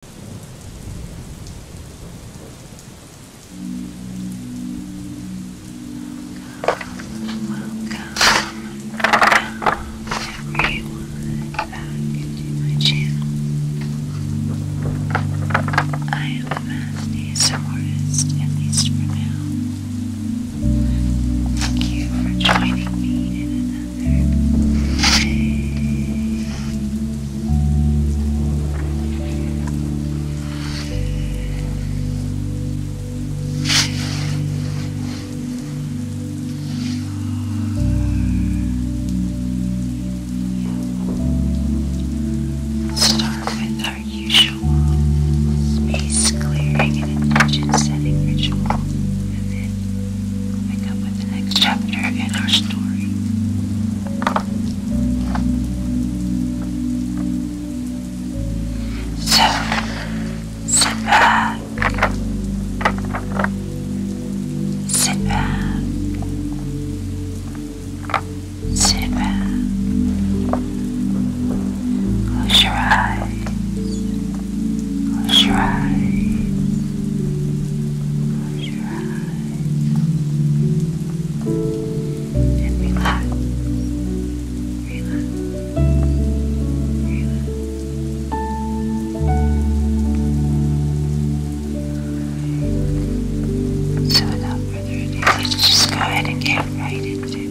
everyone back to my channel. I am the mastiest artist, at least for now. Thank you for joining me in another Start with our usual space clearing and intention setting ritual, pick up with the next chapter in our story. So, sit back. Sit back. Sit back. Close your eyes. Close your eyes. Close your and relax. Relax. So without let's just go ahead and get right into it.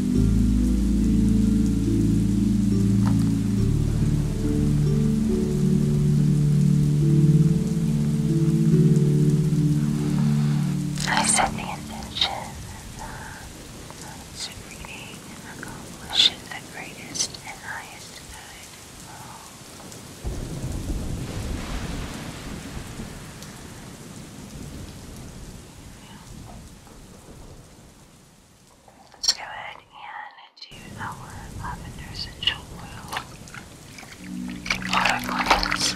I set the intention that reading accomplishes the greatest and highest good. Yeah. Let's go ahead and do our lavender essential oil water cleanse.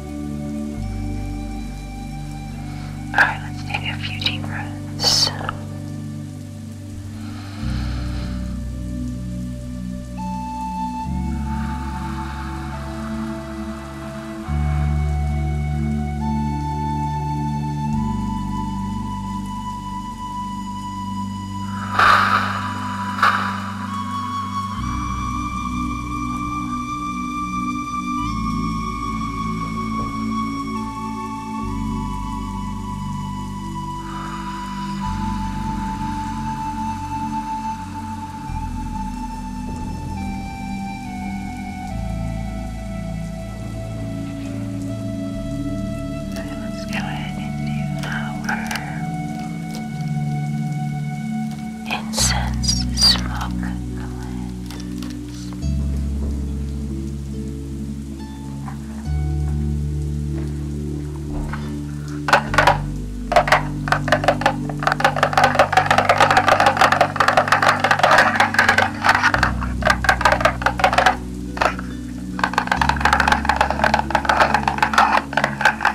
Alright, let's take a few deep breaths. Okay, let's go ahead and do our incense smoke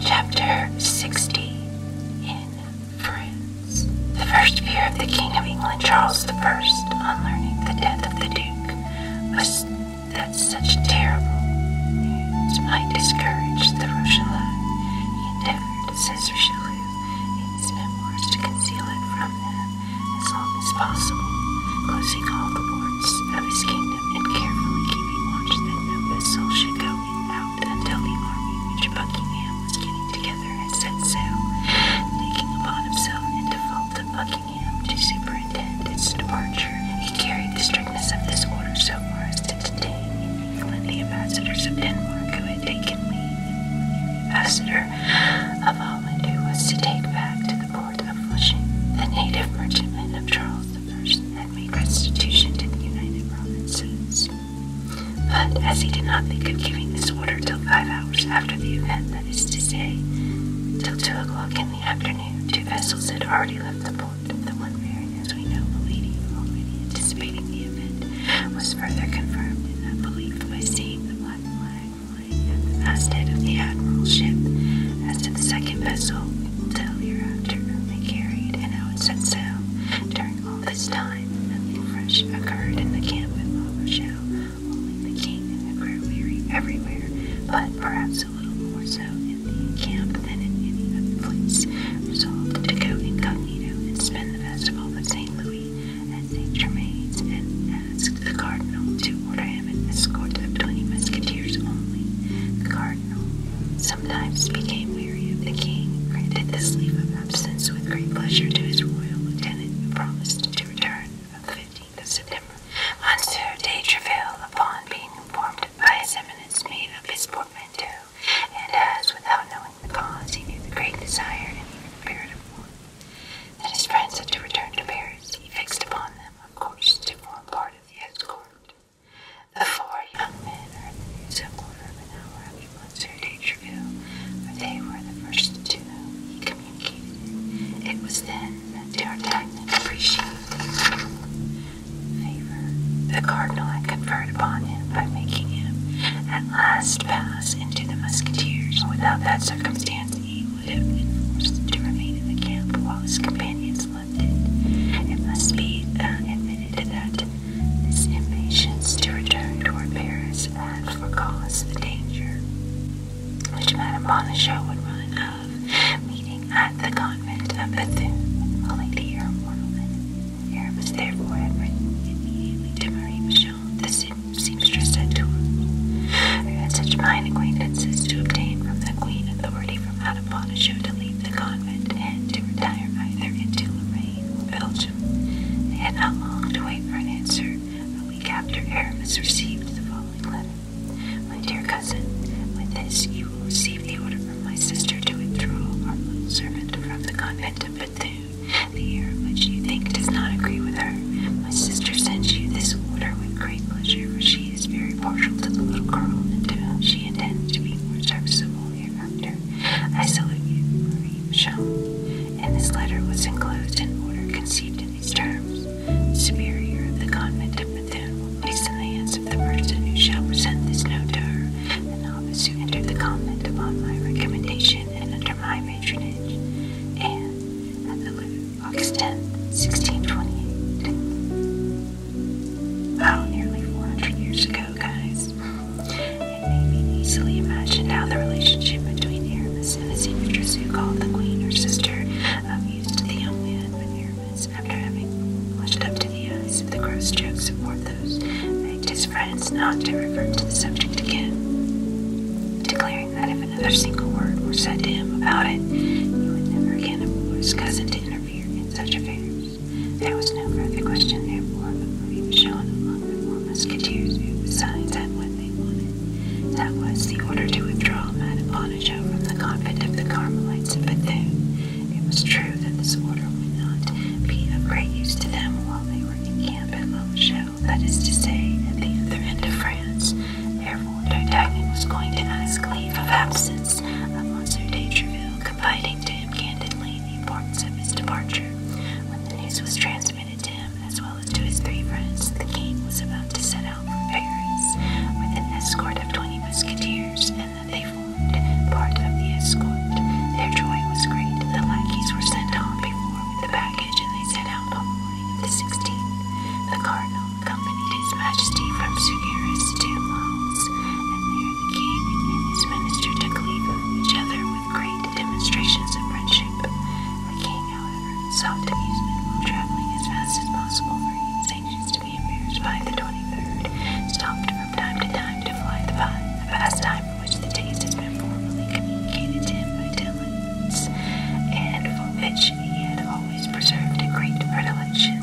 Chapter 60 in France. The first fear of the King of England, Charles I, on learning the death of the Duke, was that such terrible news might discourage the Russian line. He endeavored, says Richelieu, in his memoirs, to conceal it from them as long as possible, closing all the ports of his kingdom and carefully keeping watch that no vessel should go out until the army which Buckingham was getting together had set sail, taking upon himself in default of Buckingham to superintend its departure. He carried the strictness of this order so far as to detain in England the ambassadors of Denmark who had taken leave. of the Ambassador of all I do was to take back to the port of Flushing. The native merchantmen of Charles the First had made restitution to the United Provinces. But as he did not think of giving this order till five hours after the event, that is to say, till two o'clock in the afternoon, two vessels had already left the port. The one bearing, as we know, the lady already anticipating the event was further confirmed in that belief by seeing the black flag flying at the masthead of the Admiral's ship. As to the second vessel, we will tell hereafter whom it carried and how it set sail. During all this time, nothing fresh occurred in the camp at La Rochelle. Only the king and the crew weary everywhere, but perhaps a little more so in the camp than in any other place. Resolved to go incognito and spend the festival of St. Louis and Saint Germain, and asked the cardinal to order him an escort of twenty musketeers only. The cardinal sometimes became weary of the king, granted this leave of absence with great pleasure to his royal lieutenant, who promised to return on the fifteenth of September. Monsieur de Treville, upon being informed by his eminence, made up his portmanteau, and as, without knowing the cause, he knew the great desire and even the spirit of war that his friends had to return to Paris. He fixed upon them, of course, to form part of the escort. The four young men are in the news a quarter of an hour after Monsieur de Treville, for they were the first to whom he communicated. It was then that D'Artagnan appreciated the favor the cardinal had conferred upon him by making him at last pass us into the musketeers. Without that circumstance, he would have been forced to remain in the camp while his companions left it. It must be uh, admitted that his impatience to return toward Paris had for cause the danger which Madame Bonacieux would run of meeting at the convent of Bethune, a lady or mortal Aramis therefore had written immediately to Marie Michon, the seam to him. I had such fine acquaintances to obtain from the queen authority from out of Bonnechou to leave the convent and to retire either into Lorraine or Belgium. had not long to wait for an answer. A week after Aramis received the following letter. My dear cousin, with this you will receive the order from my sister to withdraw our little servant from the convent of but the air which you think does not agree with her. My sister sends you this order with great pleasure, for she is very partial to the little girl, and to uh, she intends to be more serviceable hereafter. I salute you, Marie Michel. And this letter was enclosed in order conceived in these terms. superior of the convent of Bethune will place in the hands of the person who shall present this note to her, and the novice you, enter the convent upon my recommendation and under my patronage, and at the Louvre, August 10, 1628. Oh, nearly 400 years ago, guys. It may be easily imagined how the relationship between Aramis and his actress, who called the queen her sister, amused the young man when Aramis, after having blushed up to the eyes with the gross jokes of those begged his friends not to refer to the subject again, declaring that if another single word were said to him about it, he would never again implore his cousin to interfere in such affairs. There was no further question, therefore, of Marie Michon among the four musketeers who, besides, had what they wanted. That was the order to withdraw Madame Bonacieux from the convent of the Carmelites of Bethune. It was true that this order would not be of great use to them while they were in camp at La that is to say, at the other end of France, therefore D'Artagnan was going to ask leave of absence of Monsieur de Treville, confiding to him candidly the importance of his departure. When the news was transmitted to him, as well as to his three friends, the king was about to set out for Paris with an escort of twenty musketeers, and they formed part of the escort. Their joy was great. The lackeys were sent on before with the baggage, and they set out on the 16th, the cardinal accompanied his majesty from Sugiris to Mons, and there the king and his minister took leave of each other with great demonstrations of friendship. The king, however, sought to ease while traveling as fast as possible, for he was anxious to be embarrassed by the 23rd, stopped from time to time to fly the, the time which the taste has been formerly communicated to him by talents, and for which he had always preserved a great predilection.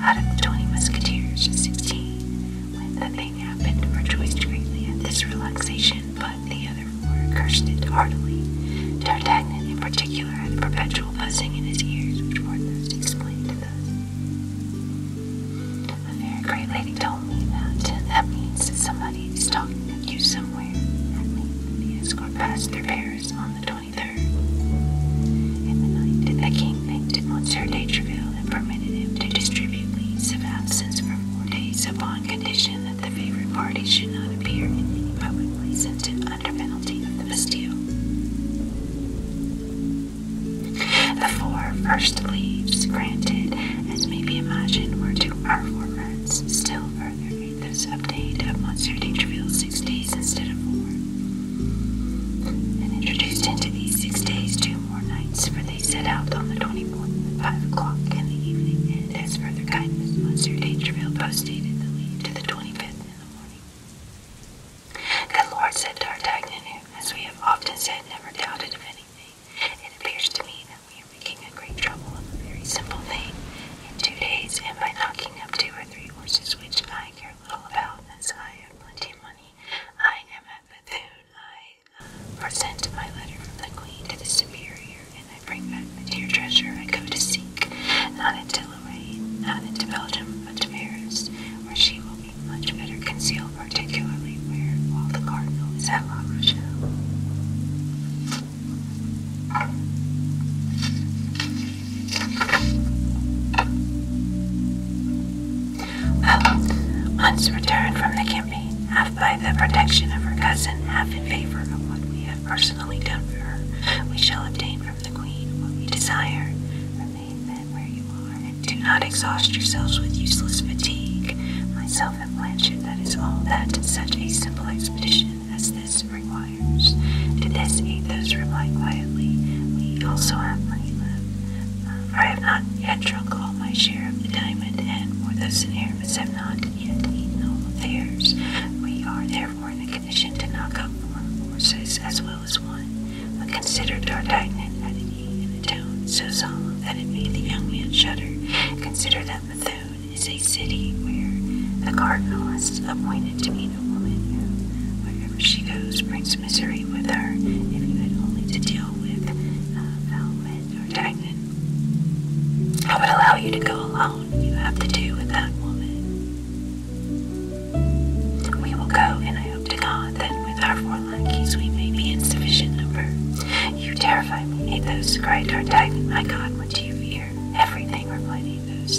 Out of the twenty musketeers, sixteen, when the thing happened, rejoiced greatly at this relaxation, but the other four cursed it heartily. D'Artagnan, in particular, had a perpetual buzzing in his ears, which were Porthos explained thus. A very great lady told me that that means that somebody is talking you somewhere, and lead to escort past their Paris on the 23rd. In the night, the king thanked Monsieur de Treville and permitted him to distribute leaves of absence for four days upon condition that the favored party should not appear in any public place until under penalty of the Bastille. The four first leaves granted, as may be imagined, were to our former Still further, make this update Monsieur Dangerfield six days instead of four, and introduced into these six days two more nights, for they set out on the 24th at 5 o'clock in the evening, and as further kindness, Monsieur Dangerfield postdated the leave to the 25th in the morning. The Lord, said to D'Artagnan, who, as we have often said, never doubted of anything. It appears to me that we are making a great trouble of a very simple thing. In two days, and by knocking up two or three horses, which I care little about, as I have plenty of money, I am at Bethune. I uh, present my letter from the Queen to the Superior, and I bring back the dear treasure I go to seek, not into Lorraine, not into Belgium, but to Paris, where she will be much better concealed, particularly where, while the Cardinal is at La Rochelle. Well, once returned from the campaign, half by the protection of her cousin, half in favor of what we have personally done for her, we shall obtain from the Queen what we desire. Remain then where you are, and do not exhaust yourselves with useless fatigue. My myself and Blanchard that is all that such a simple expedition as this requires. To this Athos reply quietly, We also have money left, for um, I have not yet drunk all my share of the diamond, and Porthos and I have not yet eaten all of theirs. We are therefore in a condition to knock up four horses as well as one. But consider D'Artagnan, added he, in a tone so solemn that it made the young man shudder. Consider that Bethune is a city where the cardinal is appointed to meet a woman who, wherever she goes, brings misery with her. If you had only to deal with uh, or Dagnan, I would allow you to go alone. You have to do with that woman. We will go, and I hope to God that with our four lackeys we may be in sufficient number you terrify me, Athos, cried D'Artagnan. My God, what do you fear? Everything, replied Athos.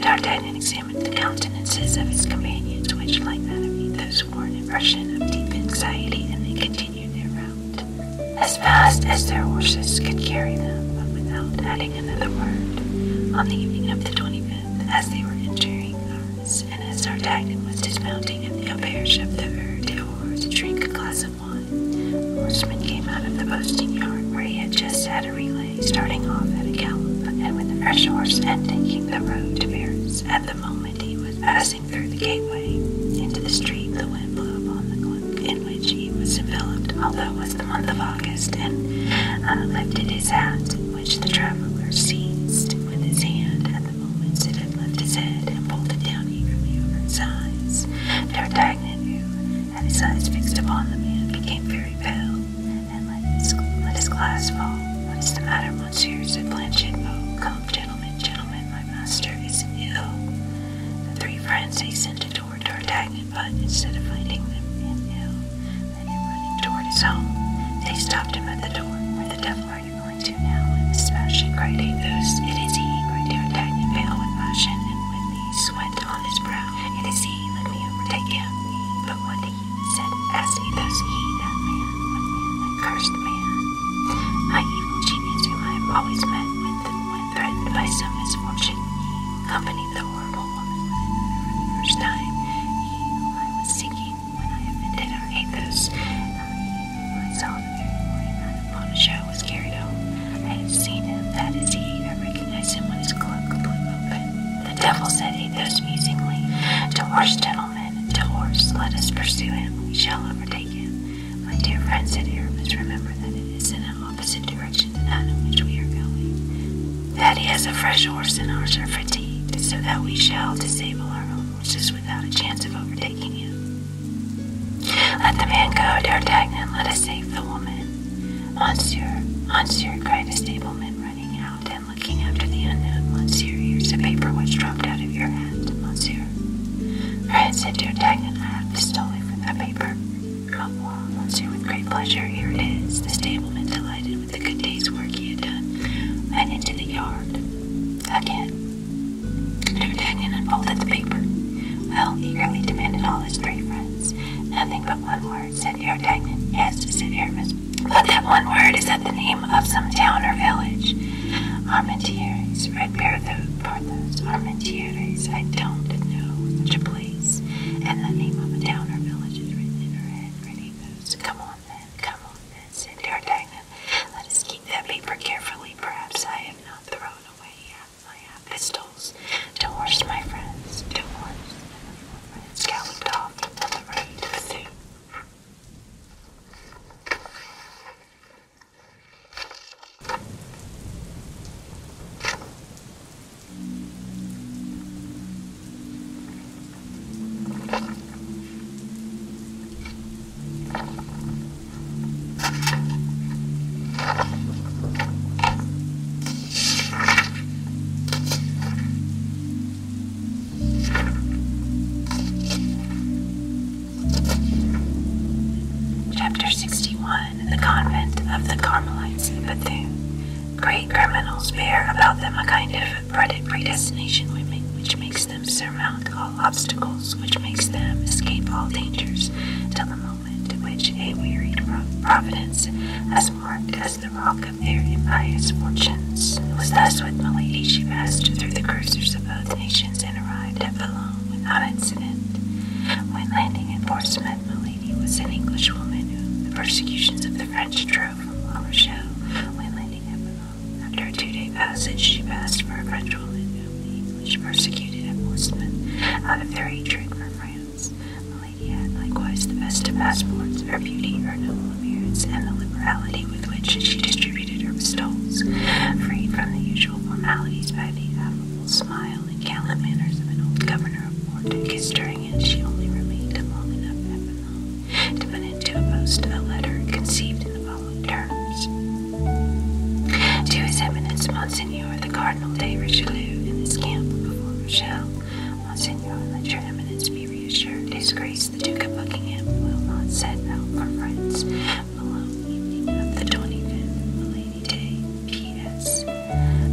D'Artagnan examined the countenances of his companions, which, like that of Athos, wore an impression of deep anxiety, and they continued their route as fast as their horses could carry them, but without adding another word. On the evening of the 25th, as they were entering Paris, and as D'Artagnan was dismounting at the auberge of the Verdure to drink a glass of and The horseman came out of the posting yard where he had just had a relay, starting off at a gallop, and with a fresh horse and taking the road to Paris. At the moment he was passing through the gateway into the street, the wind blew upon the cloak in which he was enveloped, although it was the month of August, and uh, lifted his hat, which the traveler seized with his hand at the moment it had left his head and pulled it down eagerly over his eyes. Their and his eyes fixed upon the became very pale, and let his, glass fall. What is the matter, monsieur? said Planchet. Oh, come, gentlemen, gentlemen, my master is ill. The three friends hastened toward D'Artagnan, but instead of finding them in ill, and him running toward his home, they stopped him at the door. Where the devil are you going to? do now is smashing great oaths. It is he, cried D'Artagnan, pale with passion, and with the sweat on his brow. It is he, let me overtake him. But what he said as he thus he, that man, what man, that cursed man, my evil genius whom I have always met with when threatened by some misfortune, he accompanied the horrible woman for the first time. He whom I was seeking when I offended our Athos myself when that upon a show was carried out. I had seen him, that is he. I recognized him when his cloak blew open. The devil said he thus musingly, To horse, gentlemen, to horse, let us pursue him, we shall overtake him. My dear friend, said Aramis, remember that it is in an opposite direction to that in which we are going. That he has a fresh horse and ours are fatigued, so that we shall disable our horses without a chance of overtaking him. Let the man go, dear D'Artagnan. Let us save the woman. Monsieur, monsieur, cried a stableman, running out and looking after the unknown. Monsieur, here's the paper which dropped out of your hand, monsieur. Right, said dear D'Artagnan. I have stolen from that paper. Well, monsieur, with great pleasure, here it is. The stableman, delighted with the good day's work he had done, went into the yard. Again. D'Artagnan unfolded the paper. Well, eagerly demanded all his three friends. Nothing but one word, said D'Artagnan. Yes, said Aramis. But that one word is at the name of some town or village. Armentieres, read Porthos. Armentieres, I don't know such a place. And the name of a town or village is written in her Come on then, come on then, said D'Artagnan. Let us keep that paper carefully. Perhaps I have not thrown pistols, to horse my friends, to horse my friends galloped off at the rate of sea. Chapter 61 The Convent of the Carmelites But the Great criminals bear about them a kind of predestination which makes them surmount surmount all obstacles, which makes them escape all dangers, till the moment to which a wearied providence has marked as the rock of their impious fortunes. It was thus with Milady she passed through the cruisers of both nations and arrived at Boulogne without incident. When landing at Portsmouth, Milady was an Englishwoman whom the persecutions of the French drove from La Rochelle. When landing at Boulogne after a two-day passage, she passed for a Frenchwoman whom the English persecuted at Portsmouth out of their hatred for France. The lady had likewise the best of passports, her beauty, her noble appearance, and the liberality with which she distributed her bestowals, freed from the usual formalities by the affable smile and gallant manners of an old governor of Port who kissed her She only remained long enough at to put into a post a letter conceived in the to His Eminence Monseigneur the Cardinal de Richelieu in this camp before Rochelle, Monseigneur, let your Eminence be reassured. His Grace the Duke of Buckingham will not set out for France alone evening of the 25th Milady Day, P.S.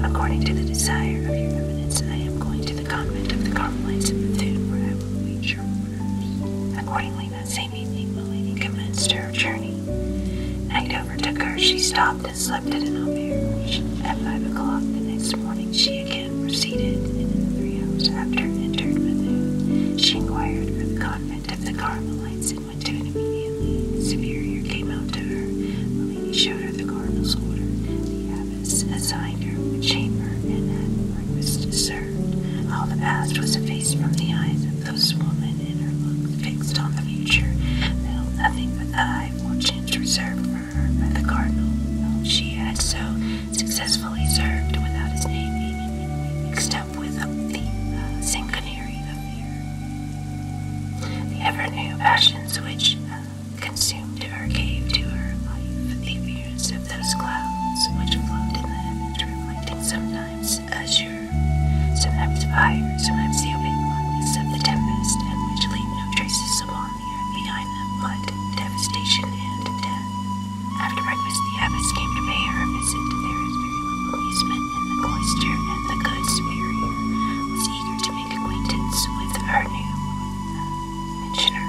According to the desire of your Eminence, I am going to the convent of the Carmelites of Bethune, where I will await your orders. Accordingly, that same the lady commenced her journey. Night overtook her. She stopped and slept at an auberge. At five o'clock the next morning, she again proceeded, and in three hours after entered Methuen. She inquired for the convent of the Carmelites and went to it immediately. The superior came out to her. The lady showed her the cardinal's order. The abbess assigned her a chamber, and had breakfast served. All the past was effaced from the eyes this woman in her looks fixed on the future, held nothing but the high fortunes reserve for her by the cardinal, she had so successfully served without his name being with the uh, sanguinary affair. The ever-new passions which uh, consumed her gave to her life the appearance of those clouds which floated in the heavens, reflecting sometimes sometimes azure, sometimes fire, sometimes the opaque blackness of the tempest, and which leave no traces upon the earth behind them but devastation and death. After breakfast, the abbess came to pay her visit. visit. There is very little amusement in the cloister, and the good superior was eager to make acquaintance with her new mentioner.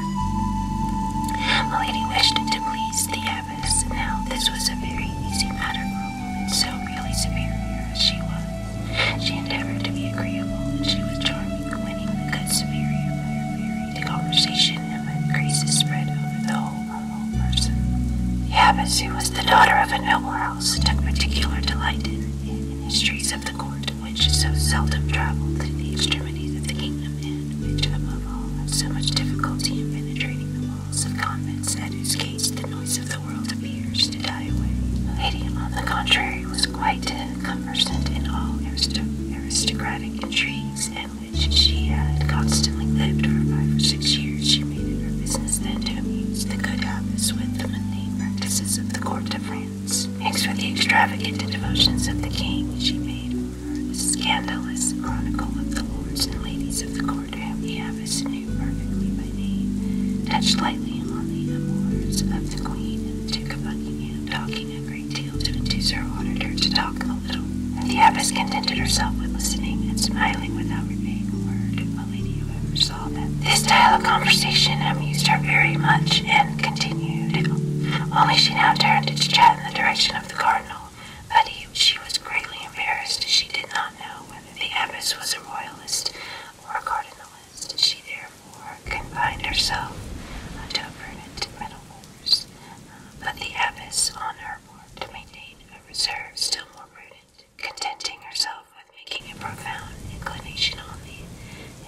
Milady wished to please the abbess this now. This was a very easy matter for a woman so really superior as she was. She endeavored to be agreeable, and she was charming, winning the good superior by her theory. The conversation and my graces spread over the whole humble person. The abbess, who was the daughter of a noble house, took particular delight in, the histories of the court, which so seldom traveled to the extremities of the kingdom, and which, above all, had so much difficulty in penetrating the of convents at whose gates the noise of the world appears to die away. Lady, on the contrary, was quite conversant in all aristocratic intrigues, in which she had constantly lived for five or six years. She made it her business then to amuse the good abbess with the mundane practices of the court of France. Mixed with the extravagant devotions of the king, she made a scandalous chronicle of the lords and ladies of the court to have the abbess knew perfectly by name, touched lightly on the amours of the Queen and the Duke of Buckingham, talking a great deal to induce her auditor to talk a little. the abbess contented herself with listening and smiling without repaying a word. Milady, however, saw that this style of conversation amused her very much and continued. Only she now turned to chat in the direction of the cardinal, but he she was greatly embarrassed. She did not know whether the abbess was a royalist or a cardinalist. She therefore confined herself to a prudent middle course. Uh, but the abbess, on her part, maintained a reserve still more prudent, contenting herself with making a profound inclination on the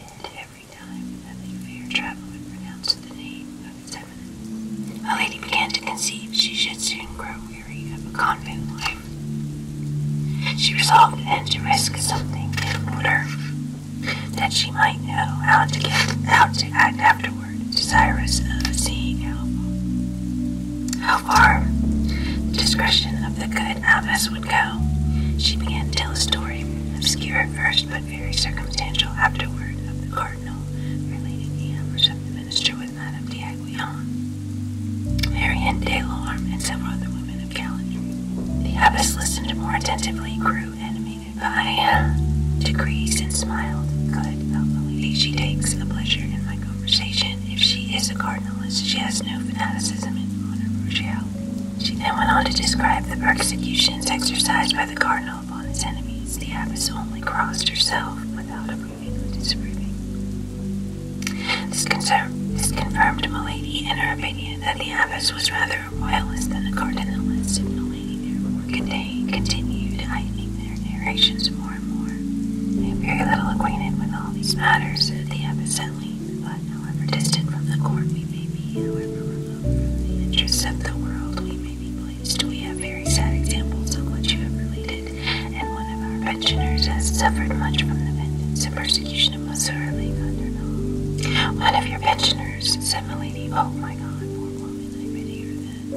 head every time that the fair traveler pronounced the name of his eminence. lady began to conceive she should soon grow of a convent life. She resolved then to risk something in order that she might know how to get out, to act afterward, desirous of seeing how, how far the discretion of the good abbess would go. She began to tell a story, obscure at first, but very circumstantial afterward, of the cardinal relating the amors of the minister with Madame d'Aiguillon, and several other women of Calais. The abbess listened more attentively, grew animated by uh, degrees, and smiled. Good, thought the lady. She takes a pleasure in my conversation. If she is a cardinalist, she has no fanaticism in honor She then went on to describe the persecutions exercised by the cardinal upon his enemies. The abbess only crossed herself without a approving or disapproving. This, concern, this confirmed Milady in her opinion that the abbess was rather a royalist than a cardinalist, and Milady therefore contained, continued heightening their narrations more and more. I am very little acquainted with all these matters, said the abbess at length, but however distant from the court we may be, however remote from the interests of the world we may be we have very sad examples of what you have related, and one of our pensioners has suffered much from the vengeance and persecution of Monsieur Le Cardinal. One of your pensioners, said Milady. Oh, my God, poor woman, pity her then.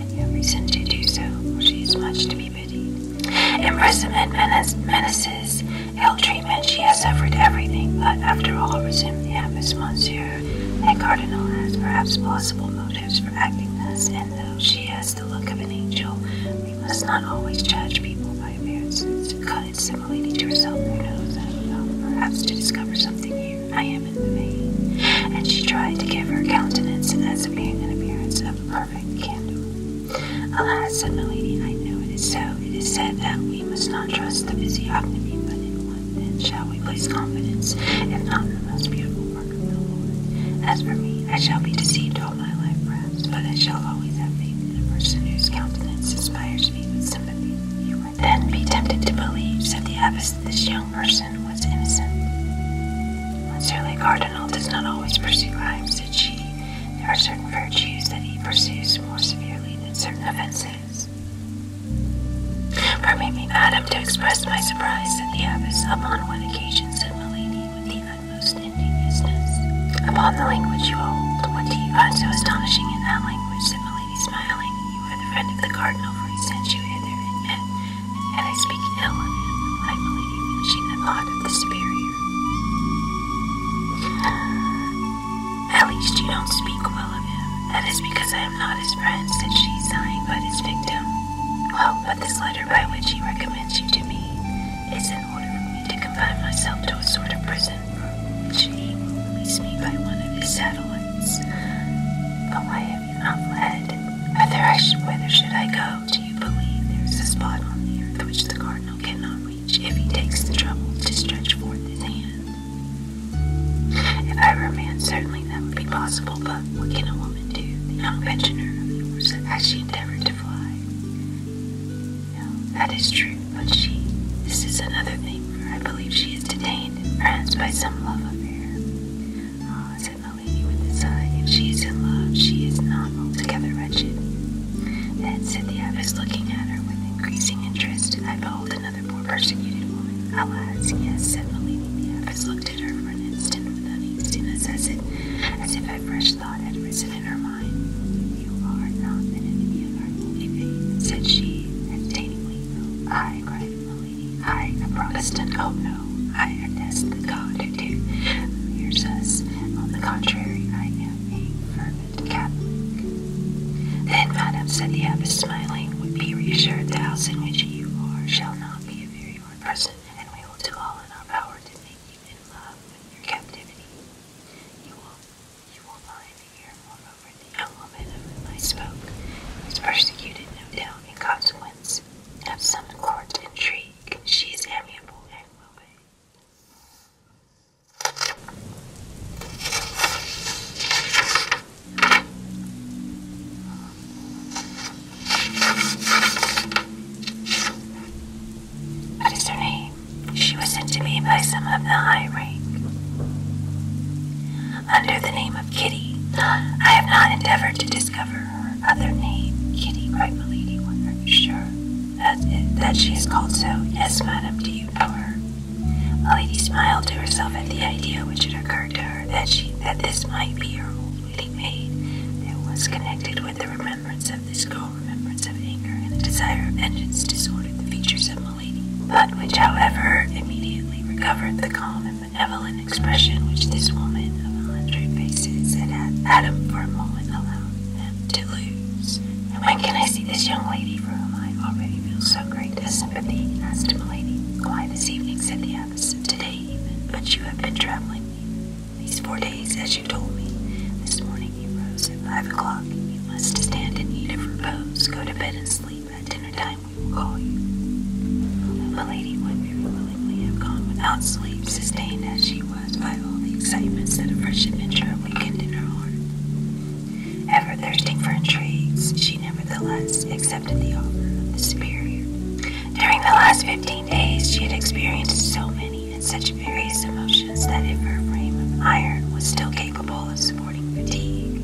And you have reason to do so, for she is much to be pitied. Imprisonment, menace, menaces, ill treatment, she has suffered everything, but after all, resumed the Monsieur. The cardinal has perhaps possible motives for acting thus, and though she has the look of an angel. We must not always judge people by appearances. Cut it similarly to herself, who knows I perhaps to discover something new. I am in the vein. And she tried to give her countenance as being an appearance of perfect candor. Alas, said lady, I know it is so. It is said that we must not trust the physiognomy, but in what man shall we place confidence, if not in the most beautiful as for me, I shall be deceived all my life, perhaps, but I shall always have faith in a person whose countenance inspires me with sympathy. You then be tempted to believe, that the abbess, that this young person was innocent. Monsieur Cardinal does not always pursue crimes, said she. There are certain virtues that he pursues more severely than certain offenses. Permit me, madam, to express my surprise, said the abbess, upon one occasion question, said Milady, with the utmost indignousness. Upon the language you hold, what do you find so astonishing in that language? said Milady, smiling. You are the friend of the cardinal, for he sent you hither, and yet, and I speak ill of him, replied Milady, finishing the thought of the superior. At least you don't speak well of him. That is because I am not his friend, said she, sighing, but his victim. Well, this letter by which he recommends you to me is in order for me to confine myself to a sort of prison which he will release me by one of his satellites. But why have you not led. Whether I should, whether should I go? Do you believe there is a spot on the earth which the cardinal cannot reach if he takes the trouble to stretch forth his hand? If I were a man, certainly that would be possible, but what can a woman? woman to the young pensioner as she endeavored to fly. that is true, but she, this is another thing, I believe she is detained in France by some love affair. Ah, said the lady with a sigh, if she is in love, she is not altogether wretched. Then, said the abbess, looking at her with increasing interest, I behold another poor persecuted woman. Alas, yes, said the lady, the abbess looked for an instant with uneasiness, as, as if a fresh thought had risen in her mind. You are not an enemy of our holy faith, said she hesitatingly. I, cried Milady, I, a Protestant, oh no, I detest the God who do mirrors us. On the contrary, I am a fervent Catholic. Then, Madame said the abbess, smiling, would be reassured the house in which you are shall not be a very hard and we will do all in our power to make you in love with your captivity. You will you will find here, moreover, the young of whom I spoke, who is persecuted, no doubt, in consequence of some court intrigue. She is amiable and well what is her name? She was sent to me by some of the high rank. Under the name of Kitty, I have not endeavored to discover her other name. Kitty, cried Milady, when are you sure that, that she is called so? Yes, madam, do you know her? Milady smiled to herself at the idea which had occurred to her that she that this might be her old it was connected with the remembrance of this cruel remembrance of anger and the desire of vengeance disordered the features of Milady, but which, however, immediately recovered the calm and benevolent expression which this woman of a hundred faces had had Adam, for a moment allowed them to lose. And when can I see this young lady for whom I already feel so great a sympathy? asked Milady. Why, this evening, said the abbess. Today even. But you have been traveling these four days, as you told me. This morning you rose at five o'clock. You must stand and eat of repose. Go to bed and sleep. At dinner time we will call you. The lady would very willingly have gone without sleep, sustained as she was by all the excitements that a fresh adventure awakened in her heart. Ever thirsting for intrigues, she nevertheless accepted the offer of the superior. During the last fifteen days she had experienced so many and such various emotions that if her frame of iron was still capable of supporting fatigue,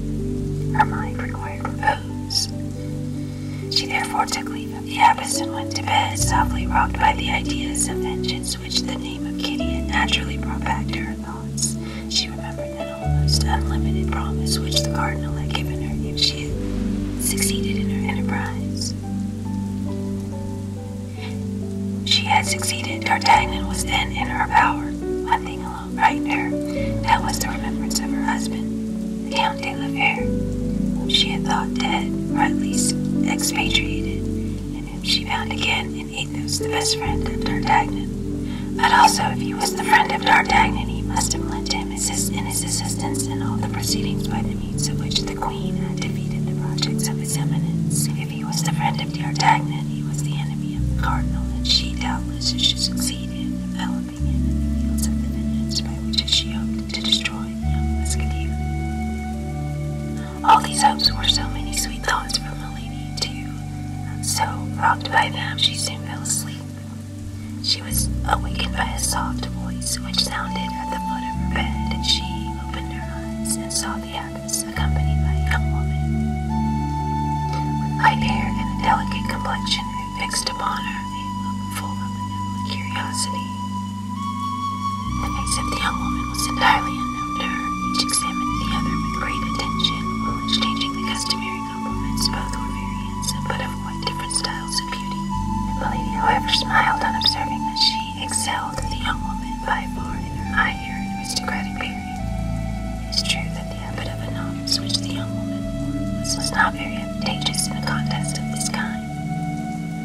her mind required repose. She therefore took leave of the abbess and went to bed, softly rocked by the ideas of vengeance which the name of Kitty had naturally brought back to her thoughts. She remembered that almost unlimited promise which the cardinal had given her if she she succeeded in her enterprise. She had succeeded. D'Artagnan was then in her power. One alone frightened her. That was the remembrance of her husband, the Count de la Fere, whom she had thought dead, or at least expatriated, and whom she found again And in Athos, the best friend of D'Artagnan. But also, if he was the friend of D'Artagnan, he must have lent him assist in his assistance in all the proceedings by the means of which the queen had defeated the projects of his eminence. If he was the friend of the D'Artagnan, he was the enemy of the cardinal, and she doubtless should succeed in developing him in the fields of the vengeance by which she hoped to destroy the young musketeer. All these hopes were so many sweet thoughts from Milady, too, and so, rocked by them, she soon fell asleep. She was awakened by a soft voice which sounded at the foot of her bed. And She opened her eyes and saw the abbess accompanied by a young woman with light hair and a delicate complexion who fixed upon her a look full of curiosity. The face of the young woman was entirely unknown to her. Each examined the other with great attention while exchanging the customary compliments. Both were very handsome, but of quite different styles of beauty. The Milady, however, smiled on observing that she excelled the young woman by far in her high air and aristocratic bearing. It is true that the habit of a novice which the young woman wore was not very advantageous in a contest of this kind.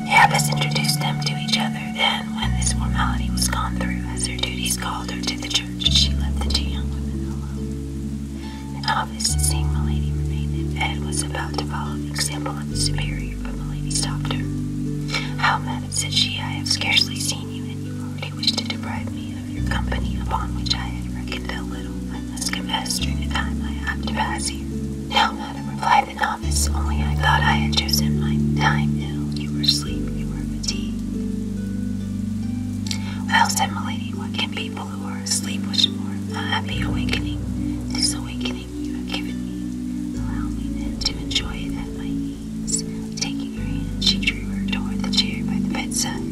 The abbess introduced them to each other, then, when this formality was gone through, as her duties called her to the church, she left the two young women alone. In office, the same Milady remained, and Ed was about to follow the example of the superior, but Milady stopped her. How, madam, said she, I have scarcely seen you, and you already wish to deprive me of your company, upon which I had reckoned but little. I must confess, during the time I have to pass here. Now, madam, replied the novice, only I thought I had chosen my time ill. You were asleep, you were fatigued. Well, said my lady. what can be? or sleep was more. A happy awakening. This awakening you have given me. Allow me to enjoy it at my ease. Taking her hand, she drew her toward the chair by the bedside.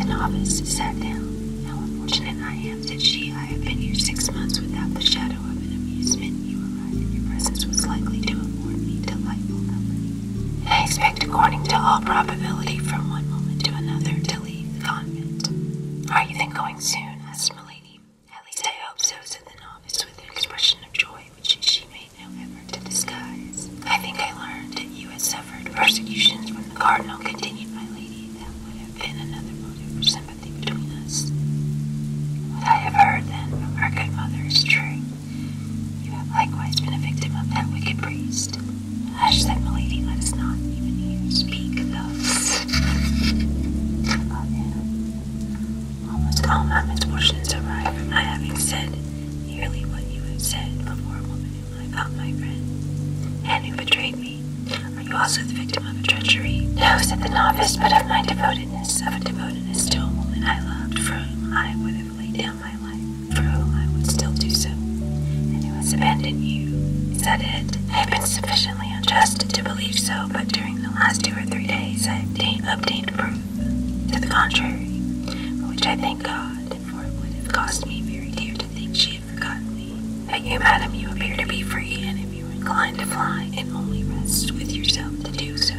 The novice sat down. How unfortunate I am, said she. I have been here six months without the shadow of an amusement. You arrived and your presence was likely to afford me delightful company. I expect, according to all probability, from one moment to another to leave the convent. Are you then going? soon? asked Milady. At least I hope so, said the novice with an expression of joy which she made no effort to disguise. I think I learned that you had suffered persecutions when the cardinal continued, my lady. That would have been another motive for sympathy between us. What I have heard, then, from our good mother is true. You have likewise been a victim of that wicked priest. Hush said Milady, let us not even hear speak thus of oh, him. Almost all my misfortunes derive from my having said nearly what you have said before a woman whom I thought my friend, and who betrayed me. Are you also the victim of a treachery? No, said the novice, but of my devotedness, of a devotedness to a woman I loved, for whom I would have laid down my life, for whom I would still do so, and who has abandoned you. Is that it? I have been sufficiently unjust to believe so, but during the last two or three days I obtained proof to the contrary, which I thank God, for it would have cost me very dear to think she had forgotten me. But you, madam, you appear to be free, and if you are inclined to fly, it only rests with yourself to do so.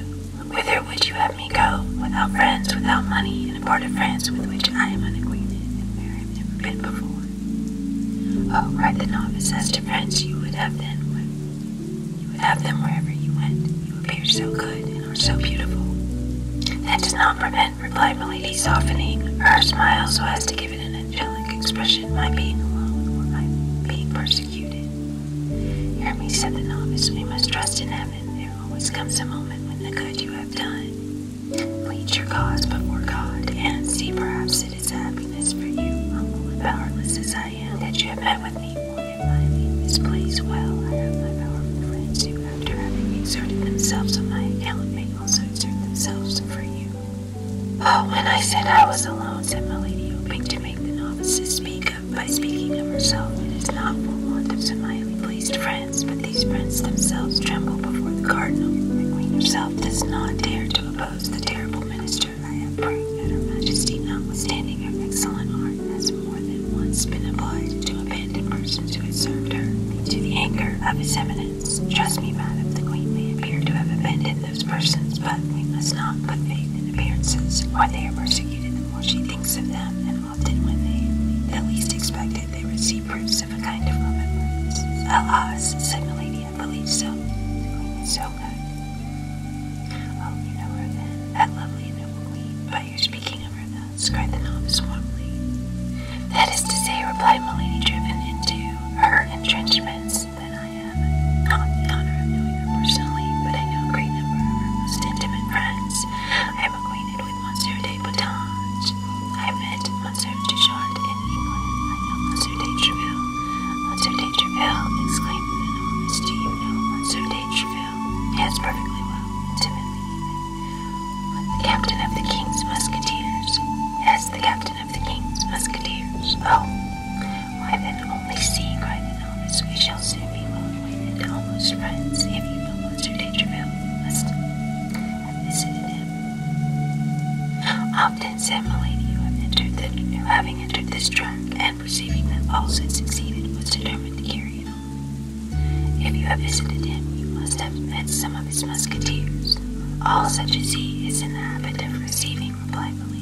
Whither would you have me go, without friends, without money, in a part of France with which I am unacquainted, and where I have never been before? Oh, uh, Upright the novice As to friends, you would have them. You would have them wherever you went. You appear so good and are so beautiful. That does not prevent, replied Milady, softening her smile so as to give it an angelic expression, my being alone or my being persecuted. Hear me, said the novice, we must trust in heaven. There always comes a moment when the good you have done Plead your cause before God and see perhaps it is happiness for you, humble and powerless as I am, that you have met with me. For if I leave this place well, I have my powerful friends who, after having exerted themselves on my account, may also exert themselves for you. Oh, when I said I was alone, said my lady, hoping to make the novices speak up by speaking of herself, it is not for want of some highly placed friends, but these friends themselves tremble before the cardinal, the queen does not dare to oppose the terrible minister. I have proof that Her Majesty, notwithstanding her excellent heart, has more than once been obliged to abandon persons who had served her to the anger of his eminence. Trust me, madam, the queen may appear to have abandoned those persons, but we must not put faith in appearances, or they are persecuted the more she thinks of them, and often when they at least expected it, they receive proofs of a kind of remembrance. Alas, said Milady can so. good. Oh, you know her then, that lovely and noble queen. By your speaking of her thus, cried the warmly. That is to say, replied Milady, driven into her entrenchments, then I am not the honor of knowing her personally, but I know a great number of her most intimate friends. I am acquainted with Monsieur de Boutange, I met Monsieur Duchard in England. I know Monsieur de Treville. Monsieur de Treville, exclaimed Miss. Do you know Monsieur de Treville? Yes, perfectly well, intimately even. The captain of the King's Musketeers. Yes, the captain of the King's Musketeers. Oh, why then only see, cried the novice. We shall soon be well acquainted, almost friends, if you know Monsieur de Treville and visited him. Often San Milady, who having entered this room and perceiving that all had succeeded, was determined to carry it on. If you have visited him, you must have met some of his musketeers. All such as he is in the habit of receiving, replied Milady.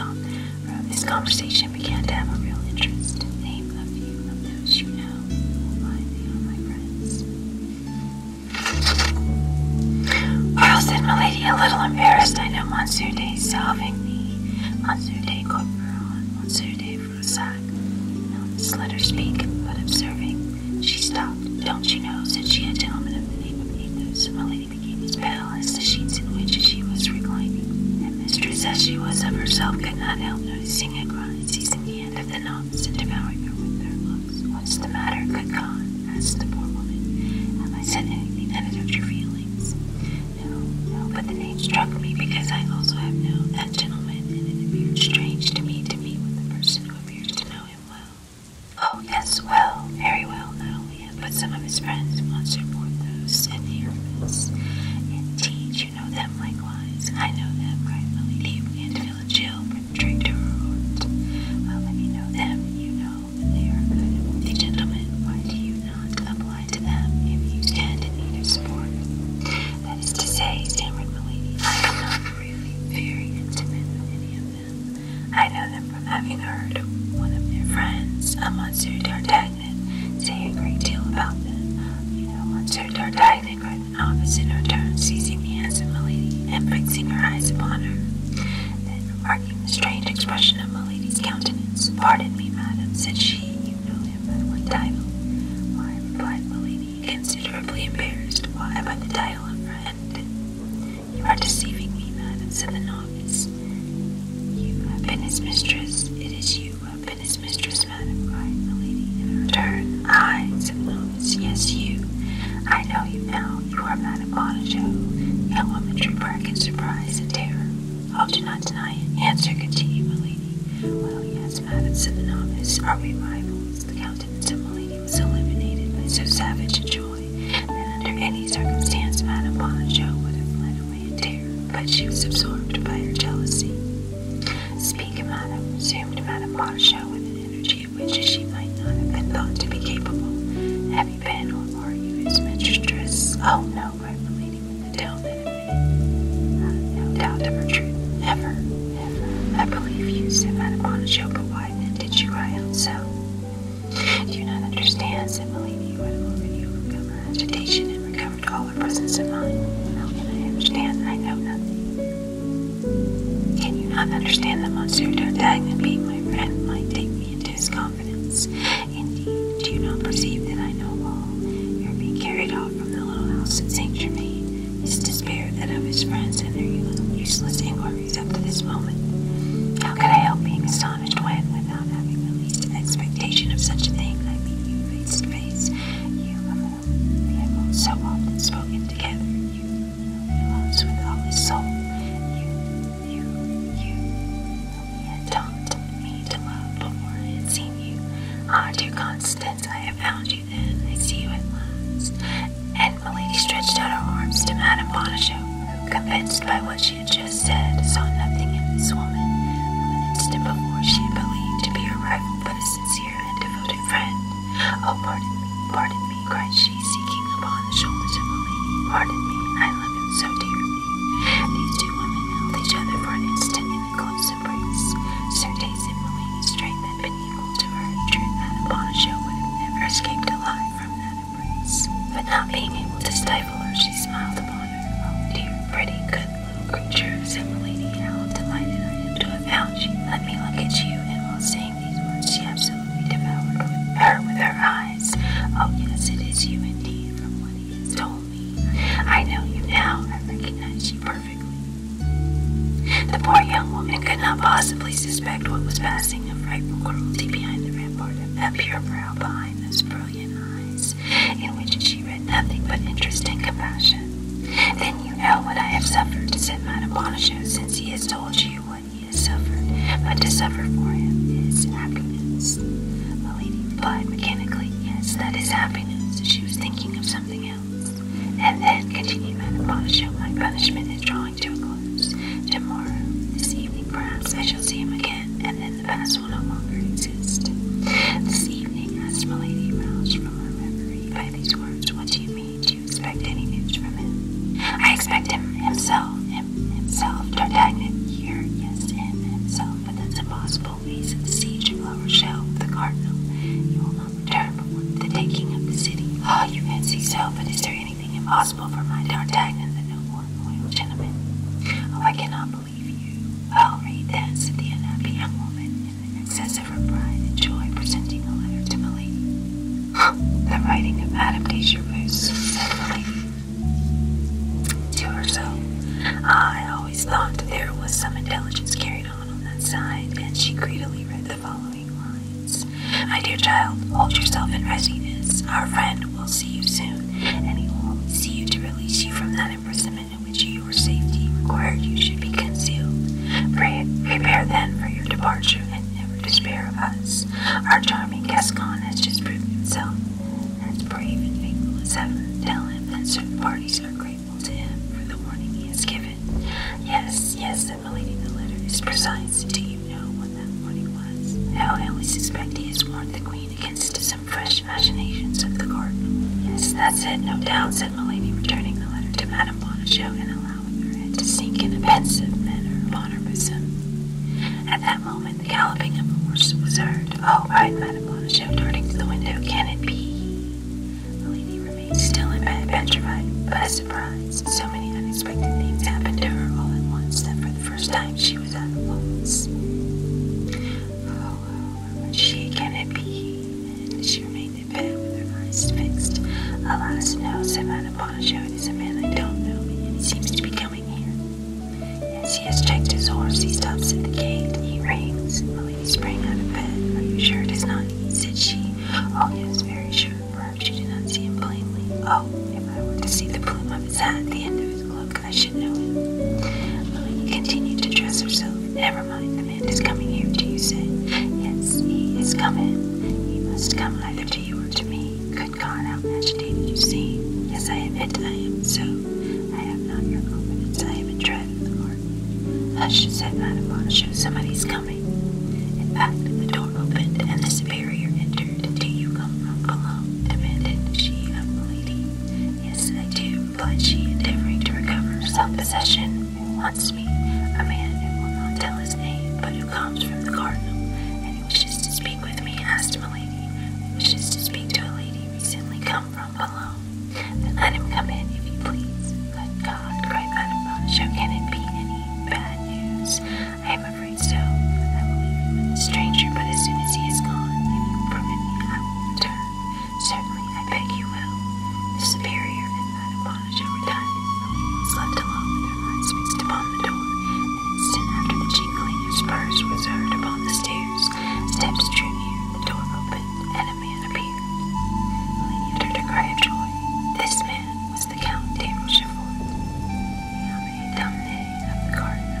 Uh, this conversation began to have a real interest. Name a few of those you know, who are my friends. Earl said, Milady, a little embarrassed. I know Monsieur de Salvigny, Monsieur de Corporal, and Monsieur de Froussac. Melons let her speak, but observing, she stopped. Don't you know, said she, a gentleman of the name of Athos. Milady became as pale as the sheets in which she was reclining. And mistress as she was of herself could not help noticing a growing season yet. What's the matter, good God? asked the poor woman. Have I said anything that hurt your feelings? No, no, but the name struck me because I also have known that gentleman, it appeared strange to me to meet with a person who appears to know him well. Oh, yes, well, very well, not only him, but some of his friends, Monsieur Porthos and Aramis. Indeed, you know them likewise. I know them, cried Milady, who began to the gentlemen, why do you not apply to them if you stand in need of support? That is to say, stammered Milady, I am not really very intimate with any of them. I know them from having heard one of their friends, Monsieur d'Artagnan, say a great deal about them. You know Monsieur d'Artagnan, cried the novice in her turn, seizing the hands of Milady and fixing her eyes upon her. Then, remarking the strange expression of Milady's countenance, "Pardon me, madam," said she, "you know him by one title?" "Why," replied Milady, considerably embarrassed, "why, by the title of friend." "You are deceiving me, madam," said the novice. "You have been his mistress. It is you who have been his mistress, madam," cried Milady in her turn. said the novice. "Yes, you. I know you now from that Bonito, elementary bracket surprise and terror. i do not deny it. Answer continued Well, yes, madam, said Are we rivals? The countenance of was illuminated by so savage a joy that under any circumstance Madame Bonacieux would have fled away in terror, but she was absorbed by her jealousy. Speak, madam, resumed Madame Bonacieux with an energy which she might not have been thought to be capable. Abby Penhall, Laura's mistress, oh no, cried the lady with the tale that uh, admitted no doubt of her truth. Never, never. I believe you said that upon a show, but why did you cry out so? Do you not understand, said Milady, who had already overcome her agitation and recovered all her presence of mind. How can I understand? I know nothing. Can you not understand that Monsieur D'Artagnan, being my friend, might take me into his confidence? Indeed, do you not perceive that I know all? You are being carried off from the little house at Saint Germain. His despair, that of his friends, and their useless inquiries up to this moment. How could I help being astonished when, without having the least expectation of such a thing, I meet you face to face? You, of whom we have so often spoken together, he loves with all his soul. You, you, you. Though he had taught me to love before I had seen you. Ah, dear Constance, I have found you then. I see you at last. And Milady stretched out her arms to Madame Bonacieux, who, convinced by what she had just said, saw nothing in this woman who an instant before she had believed to be her rival, but a sincere and devoted friend. Oh, pardon me, pardon me, cried she, seeking upon the shoulders of the lady. Pardon me, I love him so dearly. These two women held each other for an instant in a close embrace. Certes and Milady's strength had been equal to her truth that Abomination would have never escaped alive from that embrace. But not being able to stifle her, she smiled upon her. Oh, dear, pretty, good little creature, said Milady. How delighted I am to have found you. Let me look at you, and we'll sing these words, she absolutely devoured her with her eyes. Oh, yes, it is you indeed, from what he has told me. I know you now. I recognize you perfectly. The poor young woman could not possibly suspect what was passing of frightful cruelty behind the rampart of that pure brow, behind those brilliant eyes, in which she read nothing but interest and compassion. Then you know what I have suffered, to said Madame Bonacieux, since he has told you what he has suffered, but to suffer for him is happiness. The lady replied mechanically, Yes, that is happiness. She was thinking of something else. And then, continued Madame Bonichot, my punishment is drawing to a close. Tomorrow, this evening, perhaps I shall see him again, and then the past will no longer exist. This evening, asked Milady, roused from her memory by these words, What do you mean? you expect any news from him? I expect him himself, him, himself, D'Artagnan here, yes, himself, but that's impossible. He's at La Rochelle the cardinal. He will not return before the taking of the city. Ah, you fancy so, but is there anything impossible for my D'Artagnan, the noble and loyal gentleman? Oh, I cannot believe you. Well, read that, said the unhappy young woman, in an excess of her pride and joy, presenting a letter to Milady. The writing of adaptation moves steadily to herself. I always thought there was some intelligence carried on on that side, and she greedily read the following lines. My dear child, hold yourself in readiness. Our friend will see you soon, and he will see you to release you from that imprisonment in which your safety required you should be concealed. Pre- prepare then for your departure, never despair of us. Our charming Gascon has just proved himself as brave and faithful as ever. Tell him that certain parties are grateful to him for the warning he has given. Yes, yes, said Milady, the letter is precise. Do you know what that warning was? How I only suspect he has warned the queen against some fresh machinations of the court. Yes, that's it, no doubt, said Milady, returning the letter to Madame Bonacieux to sink in a pensive manner upon her At that moment, the galloping of a horse was heard. Oh, cried Madame Bonacieux, darting to the window. Can it be? The lady remained still in bed, petrified, by surprise. So many unexpected things happened to her all at once that for the first time she was at a loss. Oh, oh, murmured she, can it be? And she remained in bed with her eyes fixed. Alas, no, said Madame Bonacieux there is a man I don't know, and he seems to be coming here. As he has checked his horse, he stops at the gate. He rings. Milady sprang out of bed. Are you sure it is not he? said she. Oh, yes, very sure. Perhaps you did not see him plainly. Oh, if I were to see the plume of his hat the end of his cloak, I should know him. Milady continued to dress herself. Never mind, the man is coming here, do you say? Yes, he is coming. He must come either you or to me. Good God, how agitated you seem. Yes, I admit I am so. I have not your confidence. I have been Hush, said Madame somebody's coming. In fact, the door opened, and the superior entered. Do you come from Boulogne? demanded she of the lady. Yes, I do, replied she, endeavoring to recover her self-possession wants me, a man who will not tell his name, but who comes from the cardinal, and who wishes to speak with me, asked Milady, who wishes to speak to a lady recently come from Cologne. Then let him come in, if you please. Good God, cried Madame Bonacieux, can it be any bad news? I am afraid so. I will leave you with the stranger, but as soon as he is gone, if you will permit me, I will return. Certainly, I beg you will. The superior and Madame astonished time. Louise was alone with eyes fixed upon the door. An instant after the jingling of spurs was heard upon the stairs, steps drew near, the door opened, and a man appeared. Milady uttered a cry of joy. This man was the Count de Rochefort, the Abbé Damné of the Cardinal.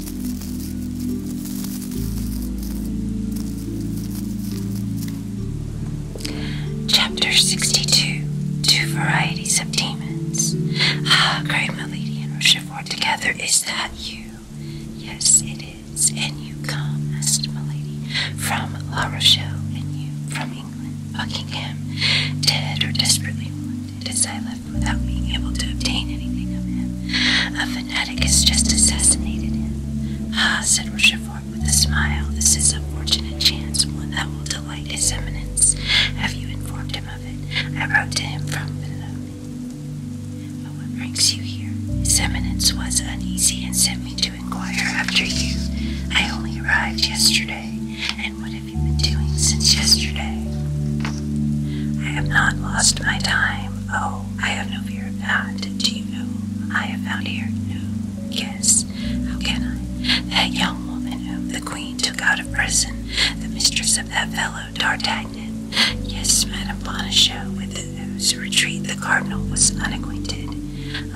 Chapter 62 Two Varieties of Demons. Ah, great milady and Rochefort, together is that you? Yes, it is. And you come, asked milady, from La Rochelle, and you from England, Buckingham, dead or desperately wounded, as I without being able to obtain anything of him. A fanatic has just assassinated him. Ah, said Rochefort with a smile, this is a fortunate chance, one that will delight his eminence. Have you informed him of it? I wrote to him from below. But what brings you here? His eminence was uneasy and sent me to inquire after you. I only arrived yesterday. And what have you been doing since yesterday? I have not lost my time. Oh, I have no fear of that. Do you know I have found here no kiss? How can I? That young woman whom the queen took out of prison, the mistress of that fellow D'Artagnan. Yes, Madame Bonacieux, with whose retreat the cardinal was unacquainted.